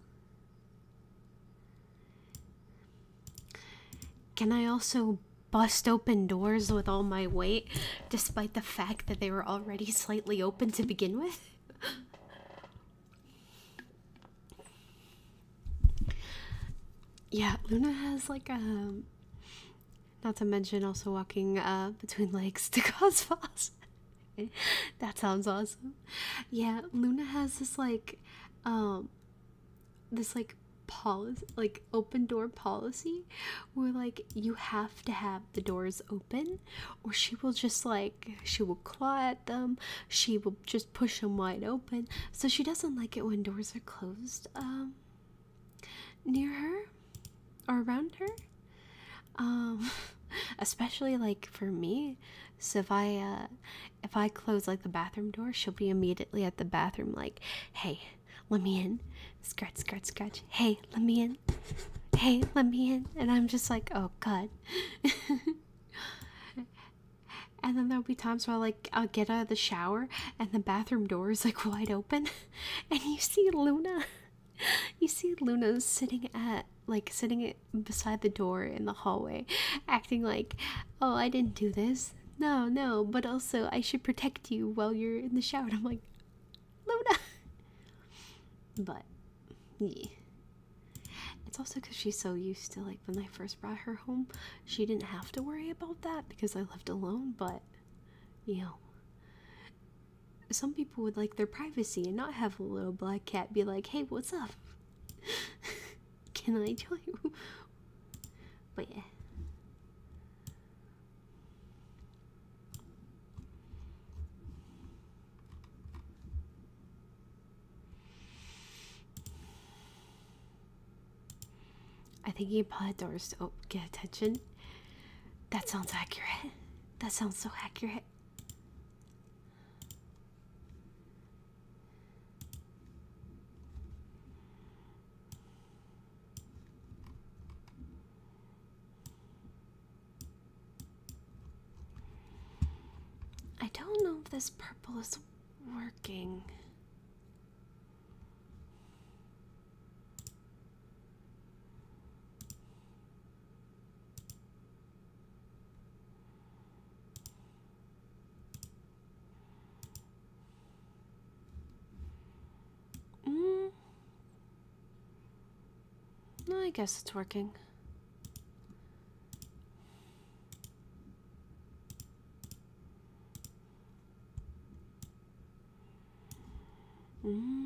S1: Can I also bust open doors with all my weight, despite the fact that they were already slightly open to begin with? yeah, Luna has like a um, not to mention also walking uh, between lakes to Cosmos. that sounds awesome. Yeah, Luna has this like, um, this like policy, like open door policy, where like you have to have the doors open, or she will just like she will claw at them. She will just push them wide open. So she doesn't like it when doors are closed. Um, near her or around her um especially like for me so if i uh, if i close like the bathroom door she'll be immediately at the bathroom like hey let me in scratch scratch scratch hey let me in hey let me in and i'm just like oh god and then there'll be times where i'll I'll get out of the shower and the bathroom door is like wide open and you see Luna you see Luna sitting at like sitting beside the door in the hallway acting like oh I didn't do this no no but also I should protect you while you're in the shower I'm like Luna but yeah it's also because she's so used to like when I first brought her home she didn't have to worry about that because I lived alone but you know, some people would like their privacy and not have a little black cat be like, hey, what's up? Can I join you? But yeah. I think he pod doors to oh, get attention. That sounds accurate. That sounds so accurate. I don't know if this purple is working. Mm. I guess it's working. Mmm.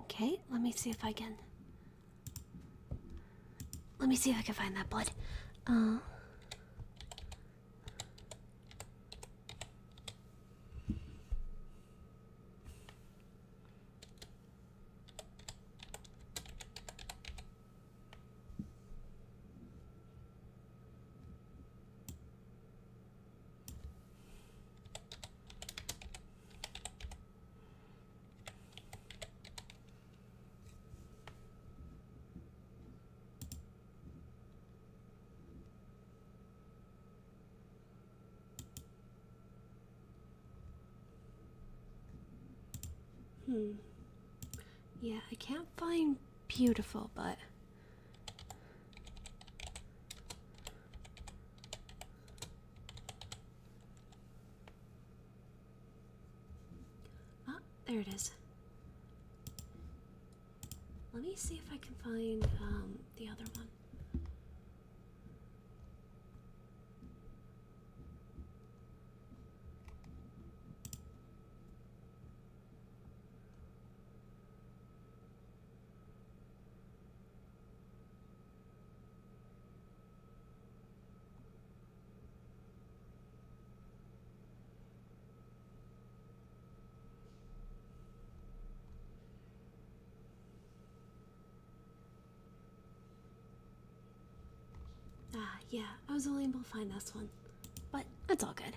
S1: Okay, let me see if I can. Let me see if I can find that blood. Uh. Hmm. Yeah, I can't find beautiful but Oh, there it is. Let me see if I can find um, the other one. Ah, yeah, I was only able to find this one, but that's all good.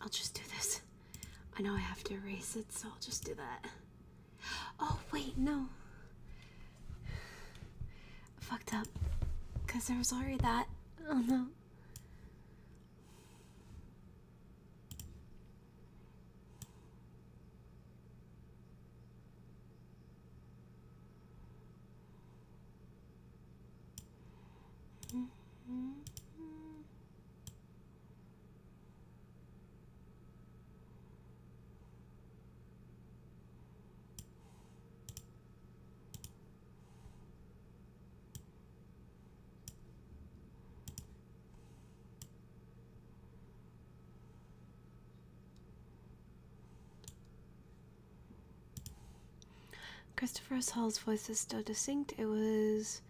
S1: I'll just do this. I know I have to erase it, so I'll just do that. Oh, wait, no fucked up because there was already that. Oh no. Christopher's Hall's voice is still distinct. It was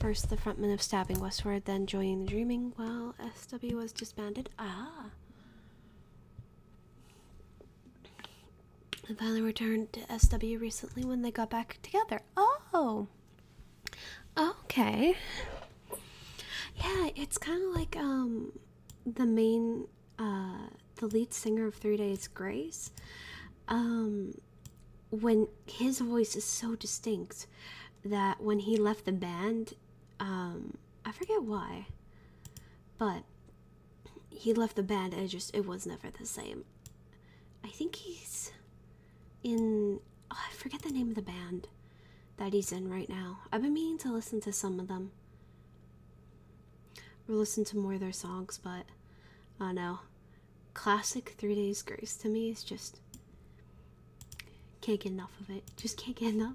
S1: first the frontman of Stabbing Westward, then joining the Dreaming while SW was disbanded. Ah. I finally returned to SW recently when they got back together. Oh, okay. Yeah, it's kind of like um, the main, uh, the lead singer of Three Days Grace. Um, when his voice is so distinct that when he left the band, um, I forget why, but he left the band and it just it was never the same. I think he's in oh, I forget the name of the band that he's in right now. I've been meaning to listen to some of them we or listen to more of their songs, but I no, Classic Three Days Grace to me is just can't get enough of it. Just can't get enough.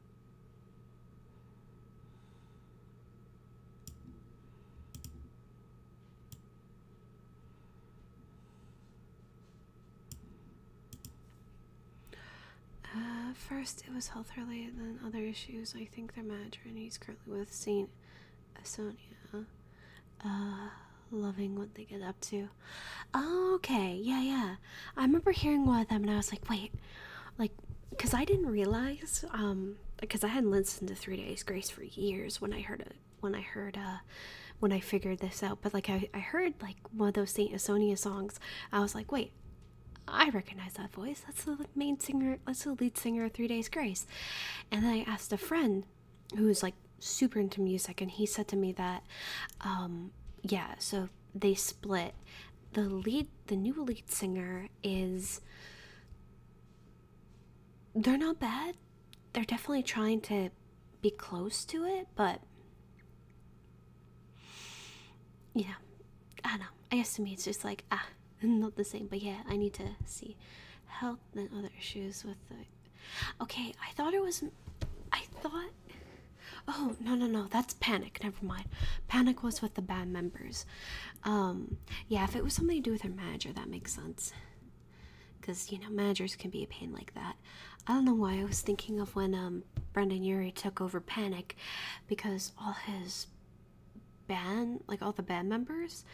S1: Uh, first, it was health related, then other issues. I think they're mad, and he's currently with Saint Asonia. Uh, loving what they get up to. okay, yeah, yeah. I remember hearing one of them, and I was like, wait, like because I didn't realize, um, because I hadn't listened to Three Days Grace for years when I heard it, when I heard, uh, when I figured this out. But like, I, I heard like one of those Saint Asonia songs. I was like, wait, I recognize that voice. That's the main singer, that's the lead singer of Three Days Grace. And then I asked a friend who was like super into music, and he said to me that, um, yeah, so they split. The lead, the new lead singer is. They're not bad. They're definitely trying to be close to it, but. Yeah, I don't know. I guess to me it's just like, ah, not the same, but yeah, I need to see health and other issues with the. Okay, I thought it was. I thought. Oh, no, no, no, that's panic never mind. Panic was with the bad members. Um, yeah, if it was something to do with her manager, that makes sense. Because, you know, managers can be a pain like that. I don't know why I was thinking of when um, Brendan Urie took over Panic because all his band, like all the band members,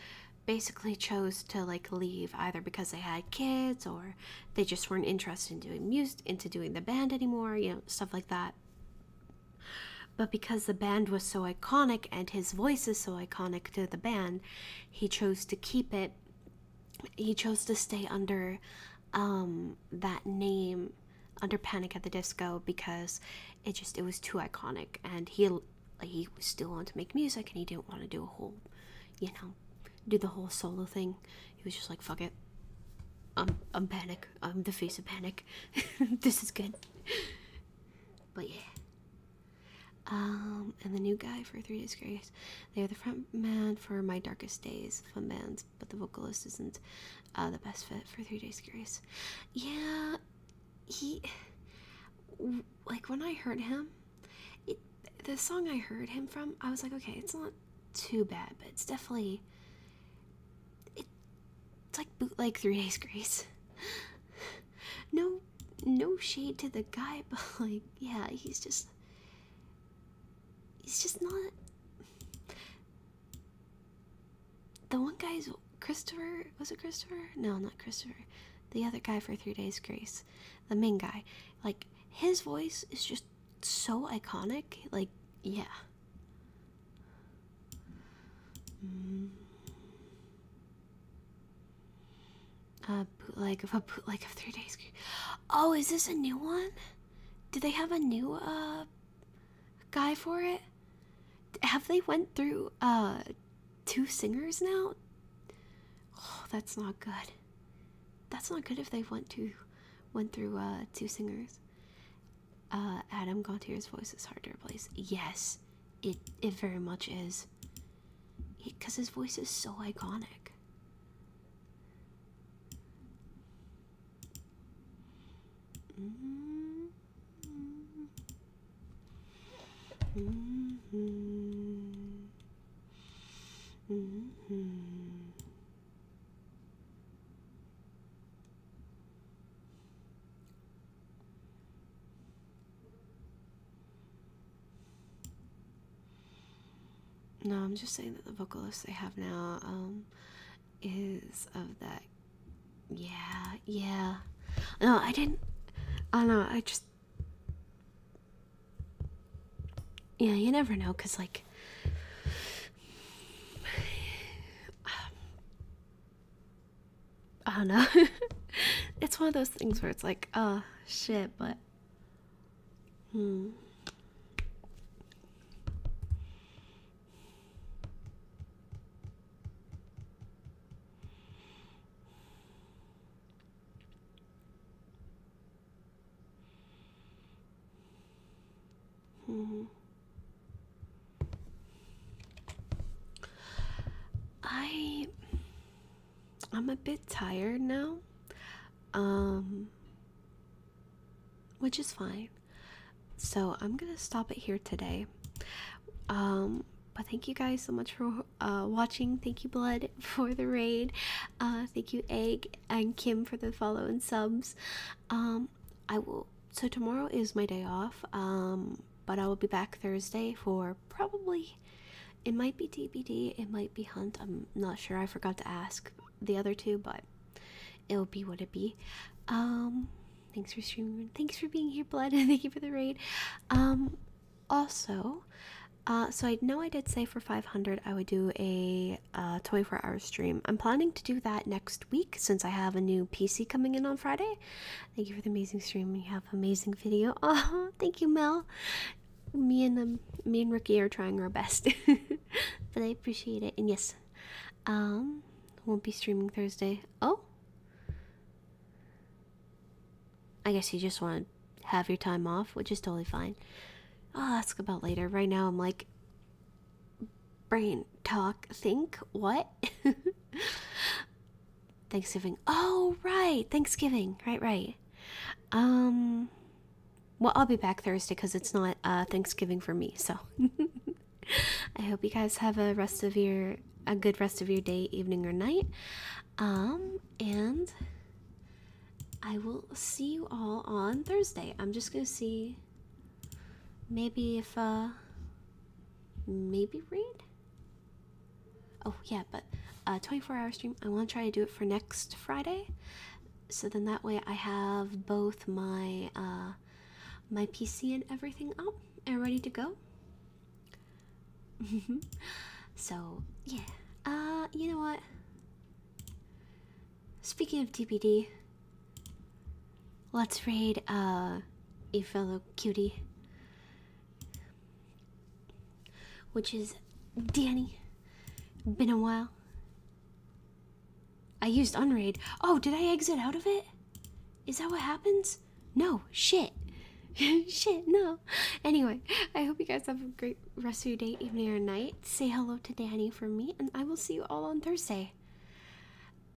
S1: basically chose to like leave either because they had kids or they just weren't interested in doing music into doing the band anymore, you know, stuff like that. But because the band was so iconic and his voice is so iconic to the band, he chose to keep it. He chose to stay under um, that name, under Panic at the Disco, because it just it was too iconic, and he he still wanted to make music, and he didn't want to do a whole, you know, do the whole solo thing. He was just like, fuck it. I'm, I'm panic. I'm the face of panic. this is good. But yeah. Um, and the new guy for Three Days Grace. They are the front man for My Darkest Days, fun bands, but the vocalist isn't uh, the best fit for Three Days Grace. Yeah, he. Like when I heard him, it, the song I heard him from, I was like, okay, it's not too bad, but it's definitely it's like bootleg Three Days Grace. No, no shade to the guy, but like, yeah, he's just, he's just not. The one guy's Christopher. Was it Christopher? No, not Christopher. The other guy for Three Days Grace, the main guy. Like his voice is just so iconic. Like yeah, Mm. A bootleg of a bootleg of three days. Oh, is this a new one? Do they have a new uh guy for it? Have they went through uh two singers now? Oh, that's not good. That's not good if they went to went through uh two singers. Uh, Adam Gauntier's voice is hard to replace. Yes, it it very much is. Because his voice is so iconic.
S2: Mm-hmm. Mm-hmm. Mm-hmm.
S1: No, I'm just saying that the vocalist they have now um, is of that. Yeah, yeah. No, I didn't. I don't know. I just. Yeah, you never know, cause like. Um, I don't know. it's one of those things where it's like, oh shit, but hmm. Hmm. I I'm a bit tired now. Um which is fine. So, I'm going to stop it here today. Um but thank you guys so much for uh watching. Thank you Blood for the raid. Uh thank you Egg and Kim for the follow and subs. Um i will so tomorrow is my day off um, but i will be back thursday for probably it might be dbd it might be hunt i'm not sure i forgot to ask the other two but it'll be what it be um thanks for streaming thanks for being here blood and thank you for the raid um also uh so i know i did say for 500 i would do a uh 24 hour stream i'm planning to do that next week since I have a new PC coming in on Friday. Thank you for the amazing stream. You have amazing video. Oh, thank you, Mel. Me and me and Ricky are trying our best, but I appreciate it. And yes, um, won't be streaming Thursday. Oh, I guess you just want to have your time off, which is totally fine. I'll ask about later. Right now, I'm like brain talk think what thanksgiving oh right thanksgiving right right um well i'll be back thursday because it's not uh thanksgiving for me so i hope you guys have a rest of your a good rest of your day evening or night um and i will see you all on thursday i'm just gonna see maybe if uh maybe read. Oh yeah, but uh, 24-hour stream. I want to try to do it for next Friday, so then that way I have both my uh, my PC and everything up and ready to go. so yeah, uh, you know what? Speaking of DPD, Let's raid uh, a fellow cutie, which is Danny. Been a while. I used Unraid. Oh, did I exit out of it? Is that what happens? No, shit. shit, no. Anyway, I hope you guys have a great rest of your day, evening, or night. Say hello to Danny for me, and I will see you all on Thursday.